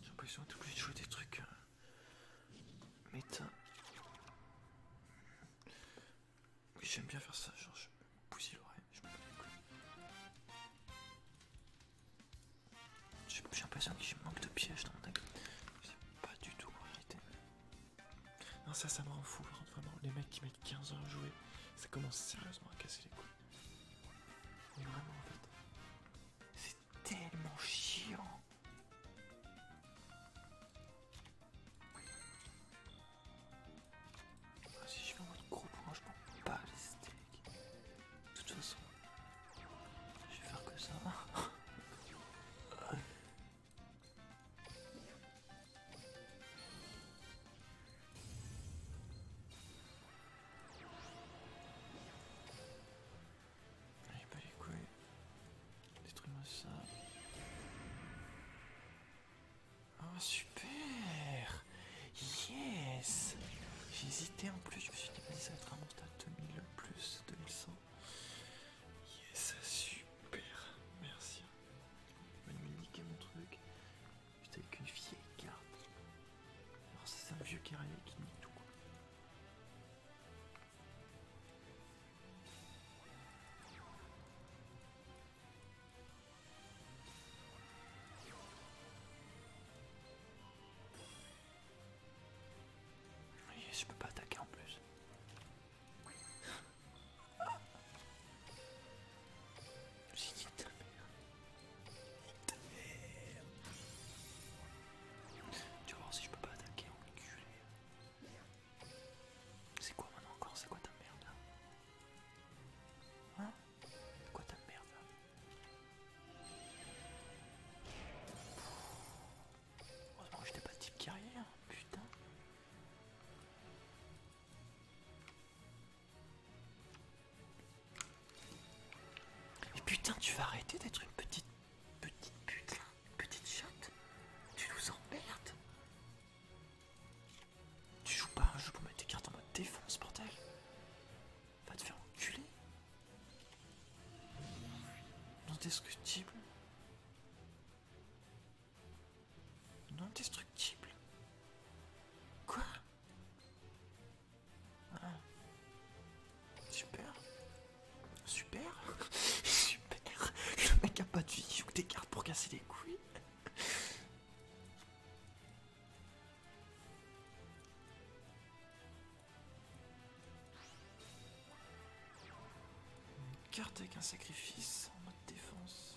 J'ai l'impression d'être obligé de jouer des trucs. Hein. Méta. j'aime bien faire ça, genre je me bousille l'oreille, J'ai l'impression que j'ai manque de pièges dans mon deck. C'est pas du tout en réalité. Non, ça, ça me rend fou, vraiment. Les mecs qui mettent 15 heures à jouer, ça commence sérieusement à casser les couilles. Mais vraiment, en fait, c'est tellement chiant. Ah, si je fais un gros point, je m'en pas les steaks. De toute façon, je vais faire que ça. Ah, Allez, pas les couilles. Détruis-moi ça. Oh, super Yes J'hésitais en plus, je me suis dit, ça va être un monstre à 2000 plus, 2100. Yes, ça Super, merci. Il m'a niqué mon truc. J'étais avec une vieille carte. Alors c'est un vieux carré qui nique tout. Je peux pas attaquer en plus. J'ai dit ta Ta mère. Tu vas voir si je peux pas attaquer, enculé. C'est quoi maintenant encore C'est quoi ta merde là hein? hein C'est quoi ta merde là hein? Heureusement que j'étais pas de type guerrier, hein, putain. Mais putain, tu vas arrêter d'être une petite. petite pute petite chatte Tu nous emmerdes Tu joues pas un jeu pour mettre tes cartes en mode défense, portail. Va te faire enculer Non, indescriptible non destructible Quoi ah. Super Super Super Le mec a pas de vie, il des cartes pour casser les couilles Une carte avec un sacrifice en mode défense.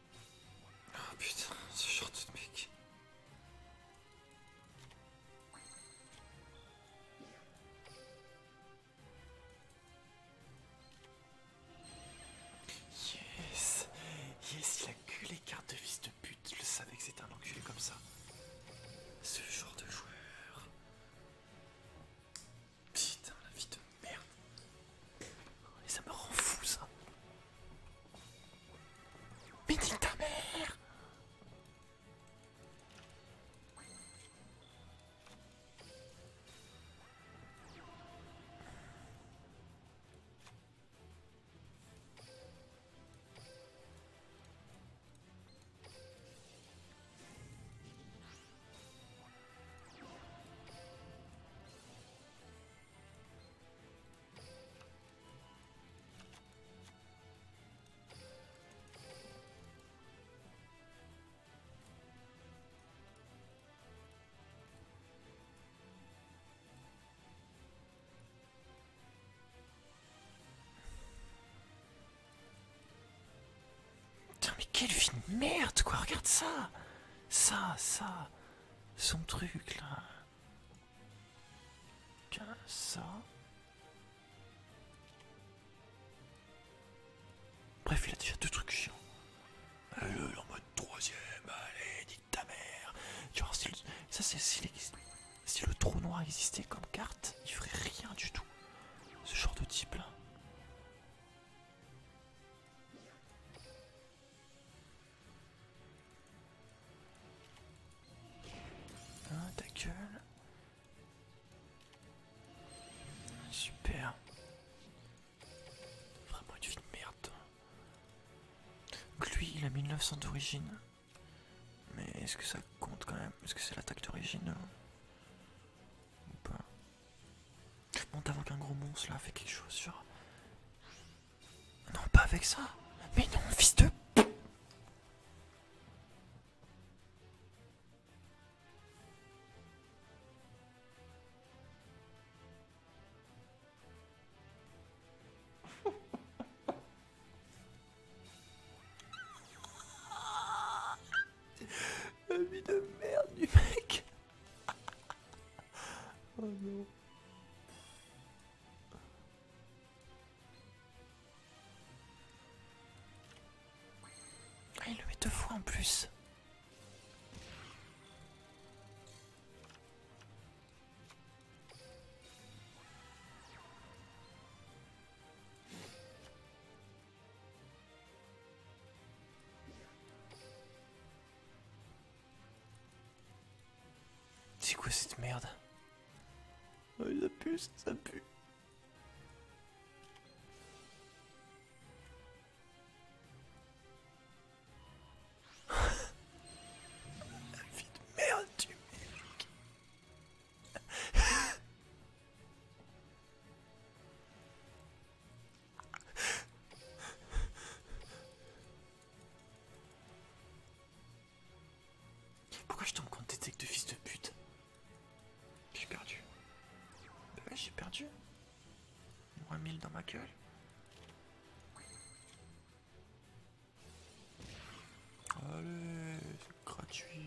Oh putain, ce genre de mec. Yes Yes, il a que les cartes de fils de pute. Je le savais que c'était un enculé comme ça. Ce genre de joueur. Putain, la vie de merde. Et oh, ça me rend fou ça. Mais ta mère mais quelle vie de merde quoi, regarde ça Ça, ça, son truc là. Tiens, ça. Bref, il a déjà deux trucs chiants. Allez, en mode troisième, allez, dit ta mère. Genre, si ça, c'est si le trou noir existait comme carte, il ferait rien du tout. Ce genre de type là. Ah, ta gueule. Super. Vraiment une vie de merde. Donc lui, il a 1900 d'origine. Mais est-ce que ça compte quand même Est-ce que c'est l'attaque d'origine euh, Ou pas Monte avant qu'un gros monstre là fait quelque chose sur... Non, pas avec ça. Mais non, fils de... La vie de merde du mec. oh non. Ah, il le met deux fois en plus. C'est quoi cette merde ah, Ça pue, ça pue. La vie de merde tu me. Pourquoi je tombe contre des techs de fils de pute J'ai perdu. Ah j'ai perdu. Moins mille dans ma gueule. Allez, c'est gratuit.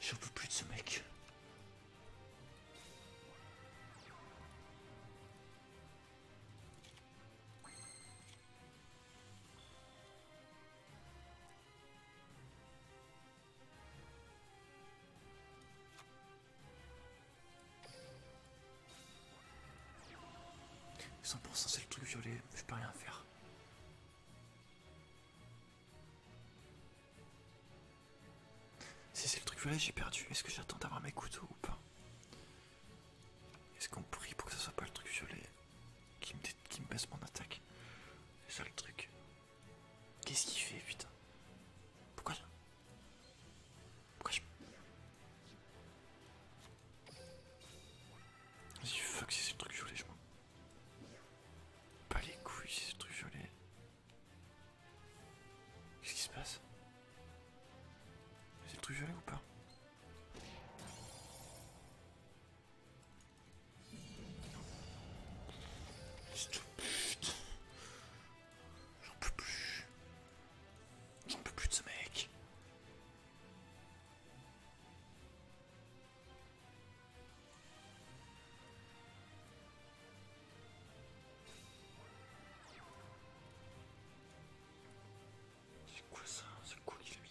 J'en peux plus de ce mec. 100% c'est le truc violet, je peux rien faire. Si c'est le truc violet, j'ai perdu. Est-ce que j'attends d'avoir mes couteaux ou pas Est-ce qu'on prie pour que ce soit pas le truc violet qui me, qui me baisse mon attaque C'est ça le truc. Qu'est-ce qu'il fait, putain Pourquoi pourquoi je... vas fuck, c'est le truc violet, je m'en... Pas les couilles, c'est le truc violet. Qu'est-ce qui se passe C'est le truc violet ou pas J'en peux plus. J'en peux plus de ce mec. C'est quoi ça C'est quoi qu'il a mis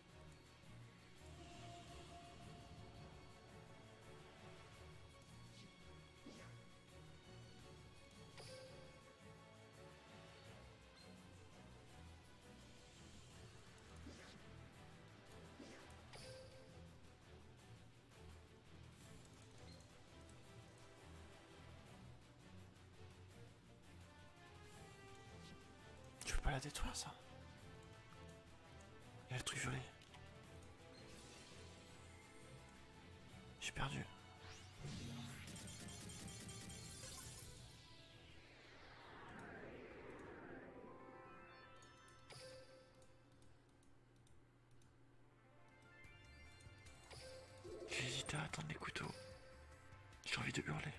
Tu peux pas la détruire ça il le truc violet. J'ai perdu. J'hésite à attendre les couteaux. J'ai envie de hurler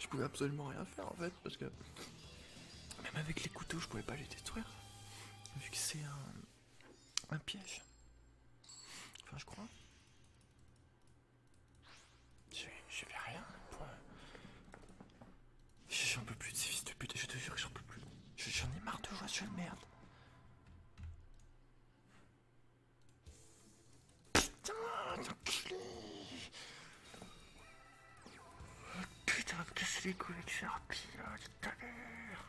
je pouvais absolument rien faire en fait parce que même avec les couteaux je pouvais pas les détruire vu que c'est un un piège. Enfin, je crois. Je vais rien. Pour... J'en peux plus de ces fils de pute, je te jure que j'en peux plus. J'en ai marre de jouer à ce jeu de merde. Putain, Putain, va me casser les couilles avec ces harpies là, tout à l'heure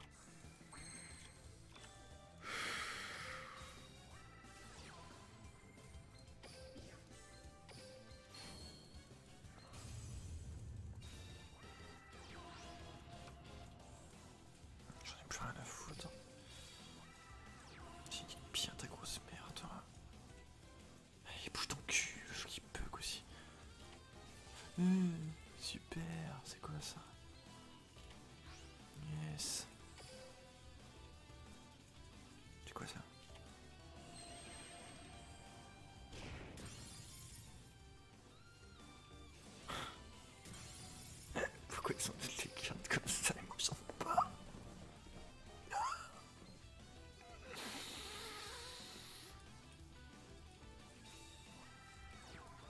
J'en ai plus rien à foutre. J'ai bien ta grosse merde. Il bouge ton cul, je qui bug aussi. Euh, super, c'est quoi ça Yes. C'est quoi ça Pourquoi ils sont toutes comme ça et moi pas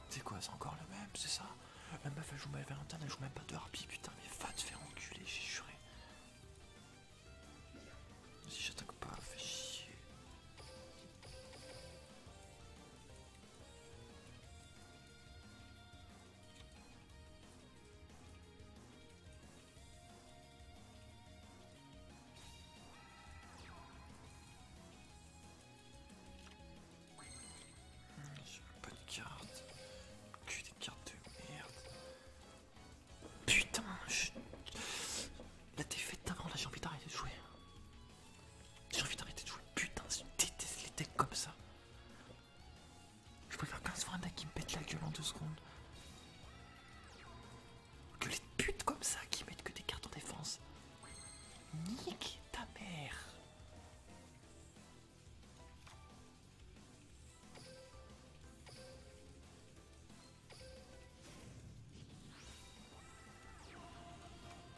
c'est quoi, c'est encore le même, c'est ça La meuf elle joue mal elle joue même pas de harpie, putain, mais va te faire enculer, j'ai juré. Si j'attaque pas, fais chier. J'ai pas de carte. Que des cartes de merde. Putain, je... La défaite d'avant, là j'ai envie d'arrêter de jouer. J'ai envie d'arrêter de jouer. Putain, je déteste les decks comme ça. Je préfère 15 fois un qui me pète la gueule en deux secondes. Que les putes comme ça qui mettent que des cartes en défense. Nique ta mère.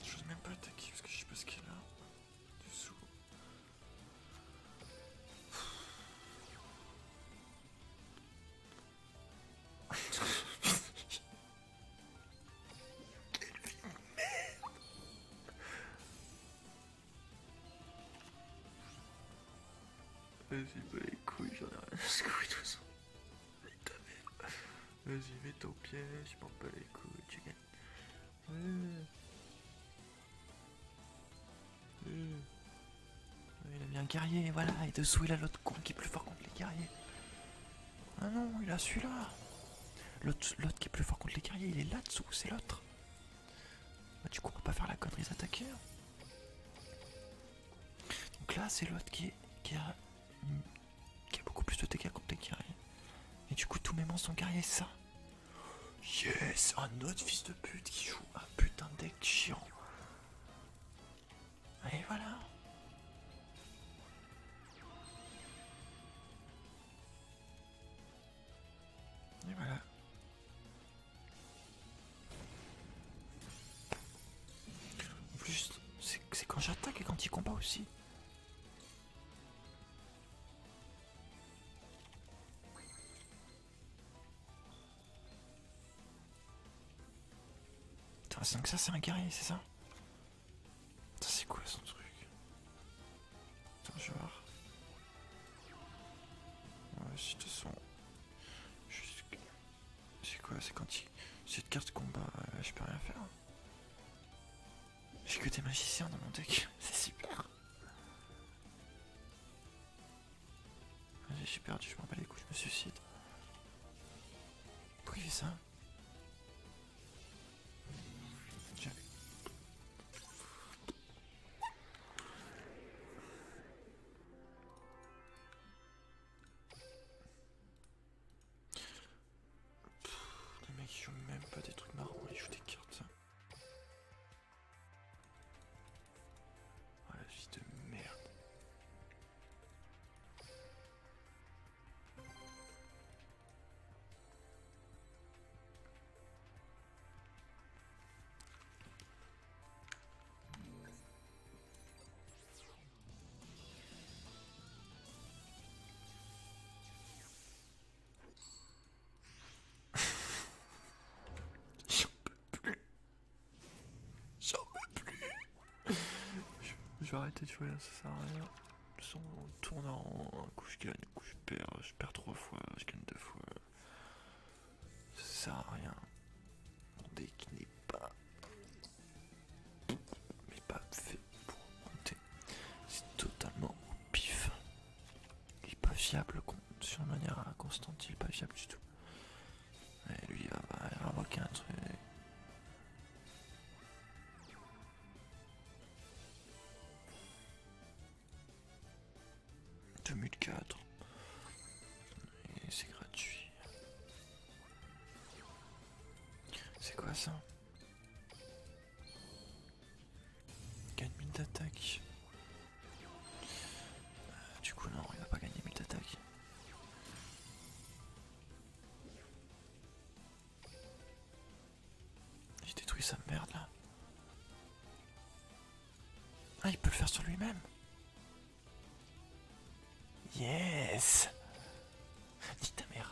Je même pas attaquer parce que je sais pas ce qu'il a dessous. Quelle vie de merde Vas-y, pas bah, les couilles, j'en ai rien à secouer tout ça. Vas-y, mets ton pied, je m'en bats les couilles, tu gagnes. Il a bien un guerrier, voilà, et dessous il a l'autre con qui est plus fort contre les guerriers. Ah non, il a celui-là. L'autre qui est plus fort contre les guerriers, il est là-dessous, c'est l'autre. Bah, du coup, on peut pas faire la connerie attaquer. Hein. Donc là, c'est l'autre qui, qui, a, mm, qui a beaucoup plus de dégâts contre les guerriers. Et du coup, tous mes monstres sont guerriers, ça. Yes, un autre fils de pute qui joue un putain de deck chiant. Et voilà. Et voilà. En plus, c'est quand j'attaque et quand il combat aussi. ça c'est un guerrier, c'est ça c'est quoi son truc genre... Ouais, si te sens. C'est quoi C'est quand il... Cette carte combat, euh, je peux rien faire. J'ai que des magiciens dans mon deck, c'est super. J'ai perdu, je m'en bats les coups. je me suicide. Pourquoi il fait ça Tiens. Pff, les mecs même pas des trucs marrants, ils jouent des cartes. Ah la vie de merde. J'en peux plus J'en peux plus Je vais arrêter de jouer là, ça sert à rien son tourne en un coup je gagne, un coup je perds, je perds trois fois, je gagne deux fois. Ça sert à rien. Mon deck n'est pas. Mais pas fait pour monter. C'est totalement pif. Il est pas fiable sur une manière à il est pas fiable du tout. Et lui il va, il un truc. 2004 et c'est gratuit c'est quoi ça 4000 d'attaque euh, du coup non il va pas gagner 1000 d'attaque j'ai détruit sa merde là. Ah, il peut le faire sur lui-même. Yes dit ta mère.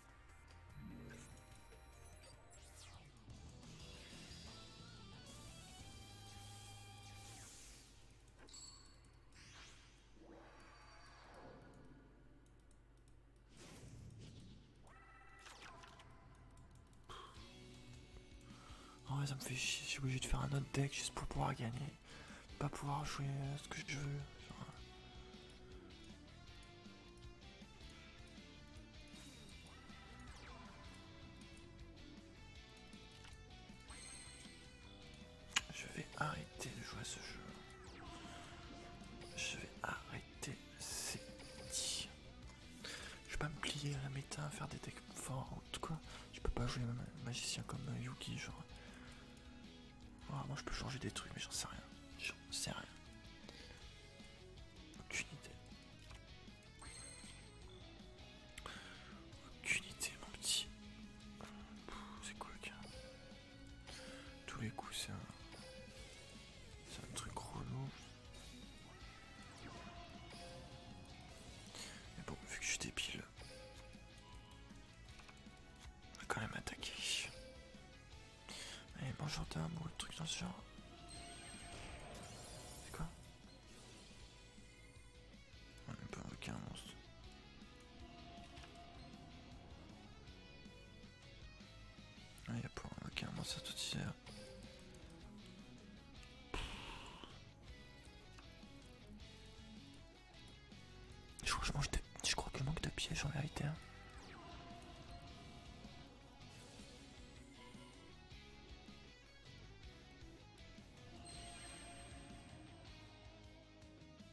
Ouais, ça me fait chier, je suis obligé de faire un autre deck juste pour pouvoir gagner. Pas pouvoir jouer euh, ce que je veux. Je vais arrêter de jouer à ce jeu. Je vais arrêter c'est dit. Je vais pas me plier à la méta, faire des decks fortes quoi. Je peux pas jouer un magicien comme euh, Yuki, genre. Ah, moi je peux changer des trucs, mais j'en sais rien. J'en sais rien. Aucune idée. Aucune idée, mon petit. C'est quoi, le cas Tous les coups, c'est un. C'est un truc relou. Mais bon, vu que je suis débile. On va quand même attaquer. Allez, bonjour un bout, de truc dans ce genre. C'est quoi On peut pas invoqué un monstre. il ah, y a pour invoquer un monstre à tout hier. Je crois, je, que je manque de pièges en vérité. Hein.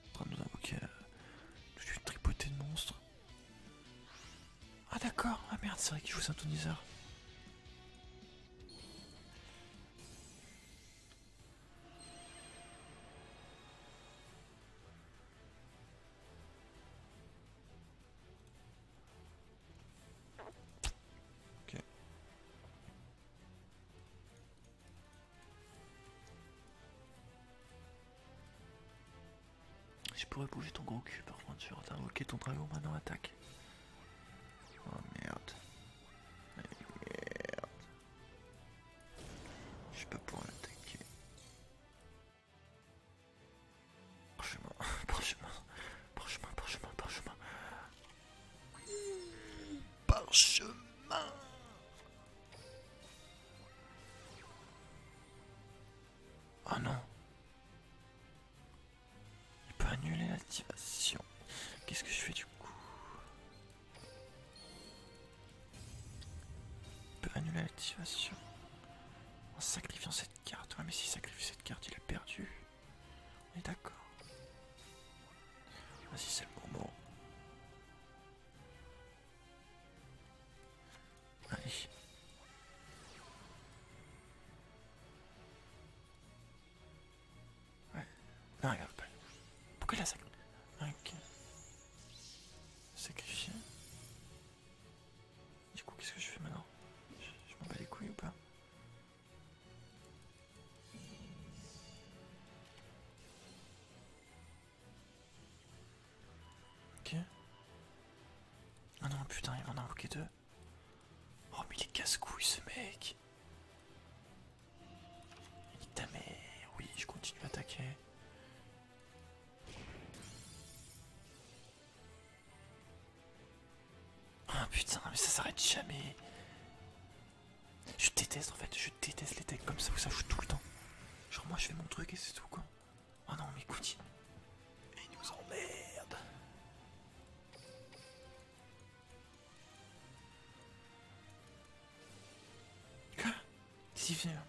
En train de nous invoquer euh, une tripotée de monstres. Ah d'accord, ah merde, c'est vrai qu'il joue synthoniseur. Ok. Je pourrais bouger ton gros cul par contre sur un Ok ton dragon maintenant attaque. Oh merde. Merde. Je peux pas pour l'attaquer. Parchemin, parchemin, parchemin, parchemin, parchemin. Parchemin. Oh non. Il peut annuler l'activation. Qu'est-ce que je fais du coup on peut annuler l'activation en sacrifiant cette carte. Ouais, mais s'il sacrifie cette carte, il est perdu. On est d'accord. Vas-y, c'est le moment. Allez. Ouais. Non, regarde pas. Pourquoi il a sacrifié Ok sacrifié Du coup, qu'est-ce que je fais maintenant Je, m'en bats les couilles ou pas Ok. Ah non, putain, il m'en a invoqué deux. Oh, mais il est casse-couille ce mec Il ta oui, je continue à attaquer. Ah putain, mais ça s'arrête jamais. Je déteste en fait, je déteste les decks comme ça où ça joue tout le temps. Genre moi je fais mon truc et c'est tout quoi. Oh non mais écoute. Il nous emmerde. Quoi Si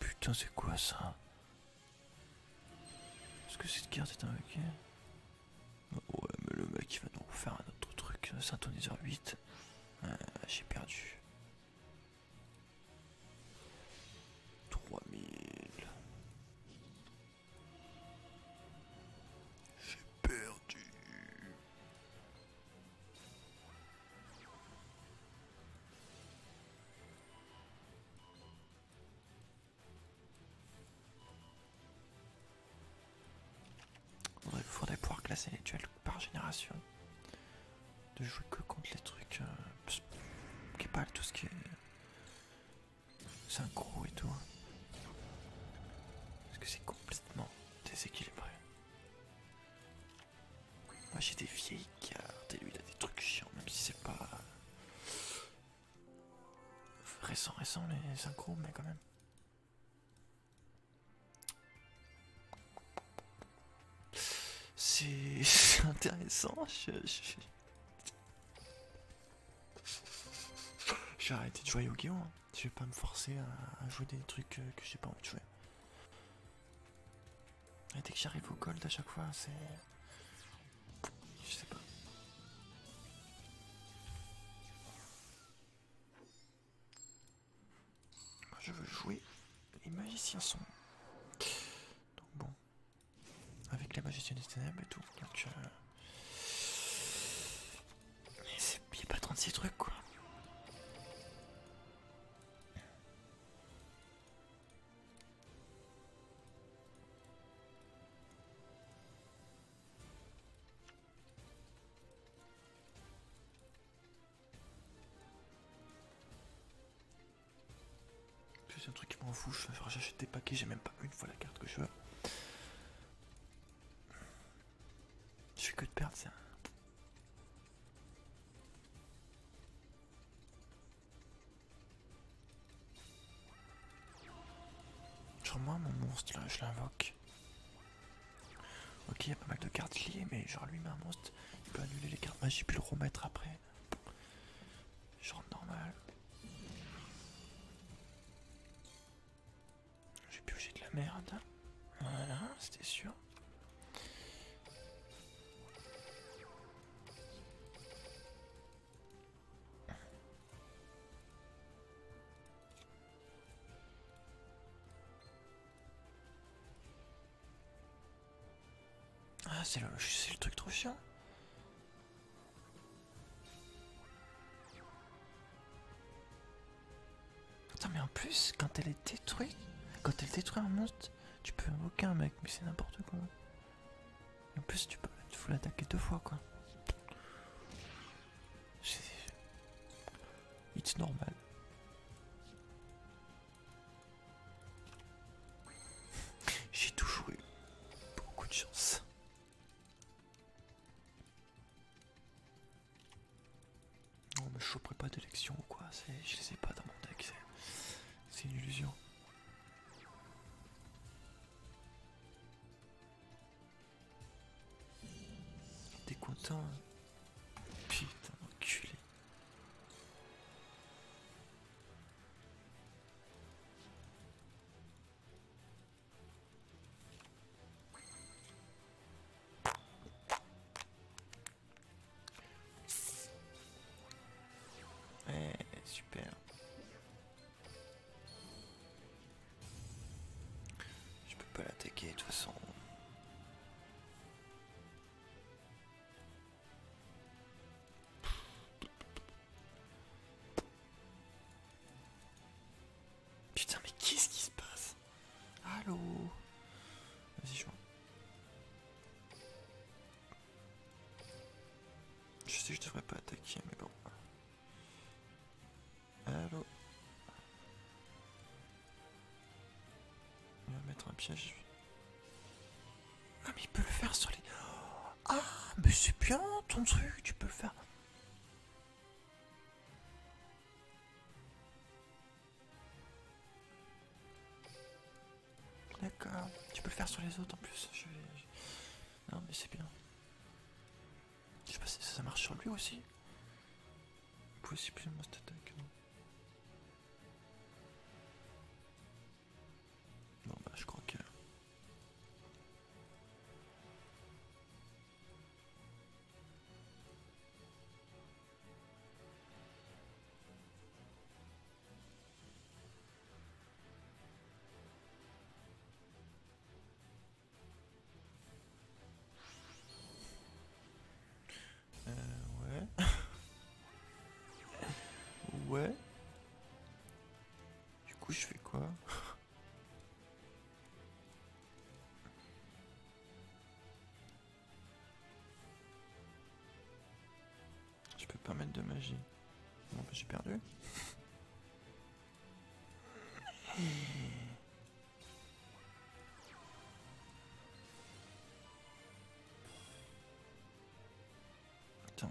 Putain, c'est quoi ça Est-ce que cette carte est un Ouais, mais le mec il va nous refaire un autre truc, synthoniseur 8. Ah, j'ai perdu. 3000. J'ai perdu. Il faudrait pouvoir classer les duels par génération. De jouer que contre les trucs. Euh, qui parlent tout ce qui est. synchro et tout. Hein. Parce que c'est complètement déséquilibré. Moi ah, j'ai des vieilles cartes et lui il a des trucs chiants, même si c'est pas. Récent, récent les synchros, mais quand même. C'est intéressant, je, vais arrêter de jouer à yu hein. Je vais pas me forcer à, à jouer des trucs que j'ai pas envie de jouer. Et dès que j'arrive au gold à chaque fois, c'est... Je sais pas. je veux jouer. Les magiciens sont... Donc bon. Avec les magiciens des ténèbres et tout. Euh, il Euh... a pas 36 trucs quoi. C'est un truc qui m'en fout, je acheter des paquets, j'ai même pas une fois la carte que je veux. Je fais que de perdre ça. Genre moi mon monstre là, je l'invoque. Ok, il y a pas mal de cartes liées, mais genre lui met un monstre, il peut annuler les cartes magiques bah, puis le remettre après. Genre normal. J'ai pioché de la merde. Voilà, c'était sûr. Ah, c'est le, le truc trop chiant. Attends, mais en plus, quand elle est détruite, quand elle détruit un monstre, tu peux invoquer un mec, mais c'est n'importe quoi. En plus, tu peux, l'attaquer deux fois, quoi. It's normal. J'ai toujours eu beaucoup de chance. On oh, me choperait pas d'élection ou quoi, je les ai pas dans mon deck, c'est une illusion. T'es content hein Putain, enculé super. Je peux pas l'attaquer de toute façon. Putain mais qu'est-ce qui se passe Allo Vas-y, je vois. Je sais que je devrais pas attaquer, mais bon. Allô Il va mettre un piège. Ah, mais il peut le faire sur les... Ah, mais c'est bien ton truc, tu peux le faire. D'accord. Tu peux le faire sur les autres en plus. Je, Non mais c'est bien. Je sais pas si ça marche sur lui aussi. Possiblement cette attaque. Non. Bon bah je crois que... Euh, ouais, ouais, du coup je fais quoi? Je peux pas mettre de magie. Bon, bah, j'ai perdu. Attends.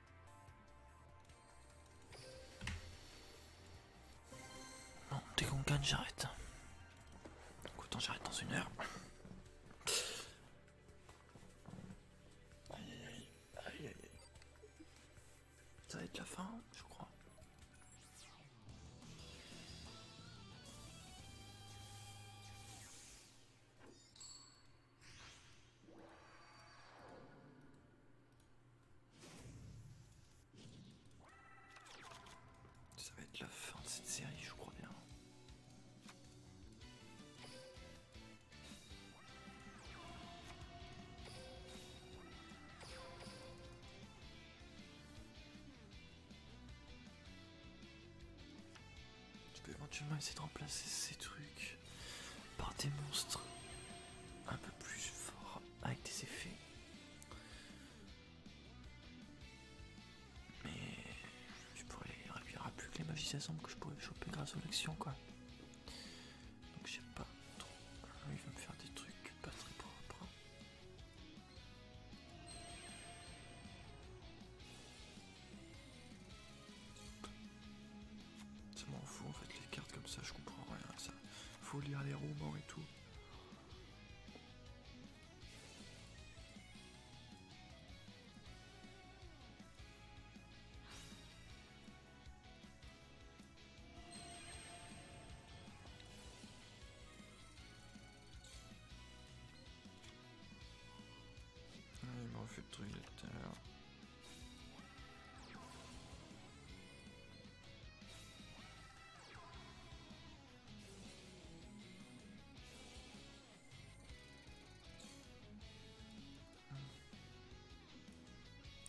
Non dès qu'on gagne, j'arrête. Donc autant j'arrête dans une heure. Aïe aïe aïe aïe Ça va être la fin, je crois. Ça va être la fin de cette série, je crois bien. Tu peux éventuellement essayer de remplacer ces trucs par des monstres un peu plus forts avec des effets. Mais je pourrais les réduire à plus que les magiciens que je pourrais choper grâce aux actions quoi. Donc je sais pas trop. Ah, il va me faire des trucs pas très propres. Ça m'en fout en fait les cartes comme ça, je comprends rien ça. Faut lire les romans et tout il m'a refait le truc de tout à l'heure.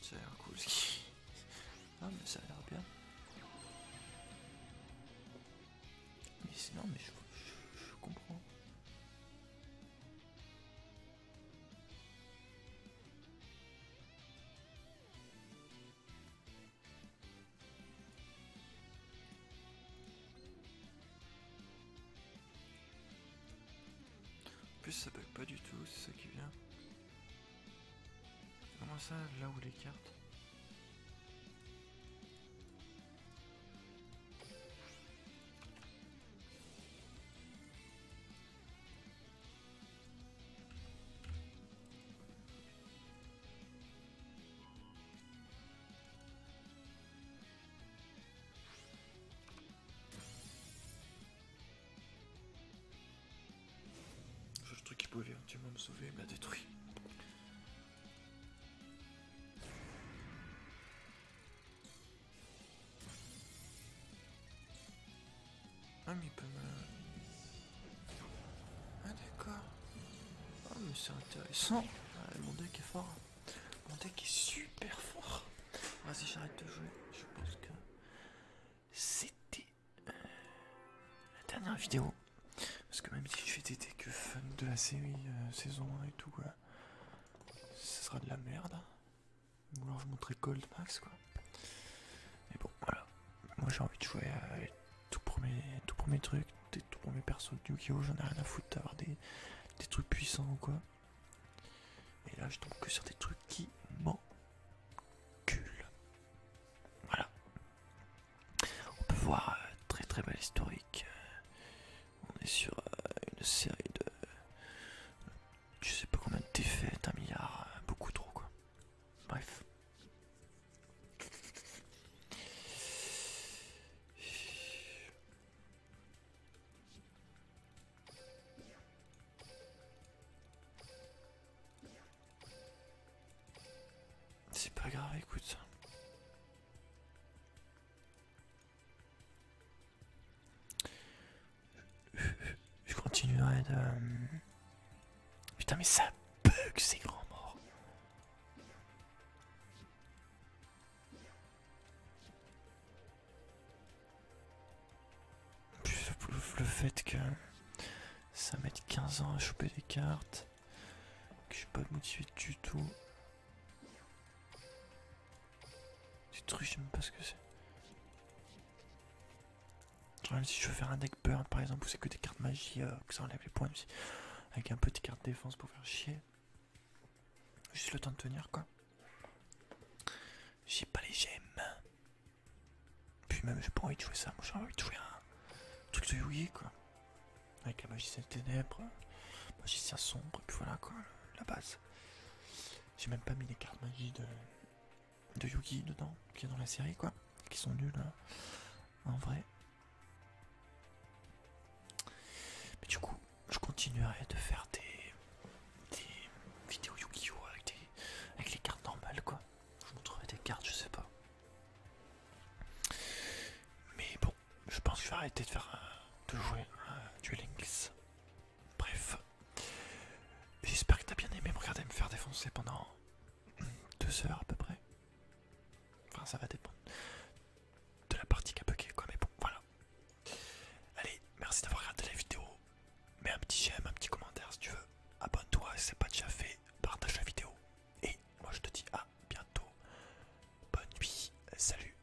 Ça a l'air cool ce Ah mais ça a l'air bien. Mais sinon mais je comprends plus ça bug pas du tout, c'est ça qui vient. Comment ça, là où les cartes je truc qui pouvait moment me sauver, il me l'a détruit. Ah mais peut me... Ah d'accord. Ah mais c'est intéressant. Ah, mon deck est fort. Mon deck est super fort. Vas-y j'arrête de jouer. Je pense que c'était euh, la dernière vidéo. Parce que même si je fais des decks fun de la série euh, saison 1 et tout, quoi, ce sera de la merde. Ou alors je montrais Gold Max quoi. Mais bon voilà. Moi j'ai envie de jouer tout premier tout trucs, des tout premiers persos de Yu-Gi-Oh! J'en ai rien à foutre d'avoir des, des trucs puissants ou quoi. Et là je tombe que sur des trucs qui m'enculent. Voilà. On peut voir euh, très très belle historique. Euh, on est sur euh, une série de... Je sais pas combien de défaites, un milliard, euh, beaucoup trop quoi. Bref. C'est pas grave, écoute. Je continuerai de... Euh, putain mais ça bug ces grands morts. Le fait que ça mette 15 ans à choper des cartes, que je suis pas motivé du tout. C'est truc je sais pas ce que c'est. si je veux faire un deck burn par exemple, où c'est que des cartes magie, euh, ça enlève les points, avec un peu de cartes défense pour faire chier. Juste le temps de tenir quoi. J'ai pas les gemmes. Puis même, j'ai pas envie de jouer ça. Moi, j'ai envie de jouer un truc de Yugi quoi. Avec la magie des ténèbres, magicien sombre, et puis voilà quoi, la base. J'ai même pas mis les cartes magie de, de oh dedans, qui est dans la série quoi, qui sont nulles hein, en vrai. Mais du coup, je continuerai de faire des, vidéos Yu-Gi-Oh! Avec, les cartes normales quoi. Je trouver des cartes, je sais pas. Mais bon, je pense que je vais arrêter de faire euh, de jouer à Duel Bref. J'espère que t'as bien aimé me regarder me faire défoncer pendant deux heures à peu près. Enfin, ça va dépendre de la partie qui a bugué, quoi. Mais bon, voilà. Allez, merci d'avoir regardé la vidéo. Mets un petit j'aime, un petit commentaire si tu veux. Abonne-toi si c'est pas déjà fait. Partage la vidéo. Et moi, je te dis à bientôt. Bonne nuit. Salut.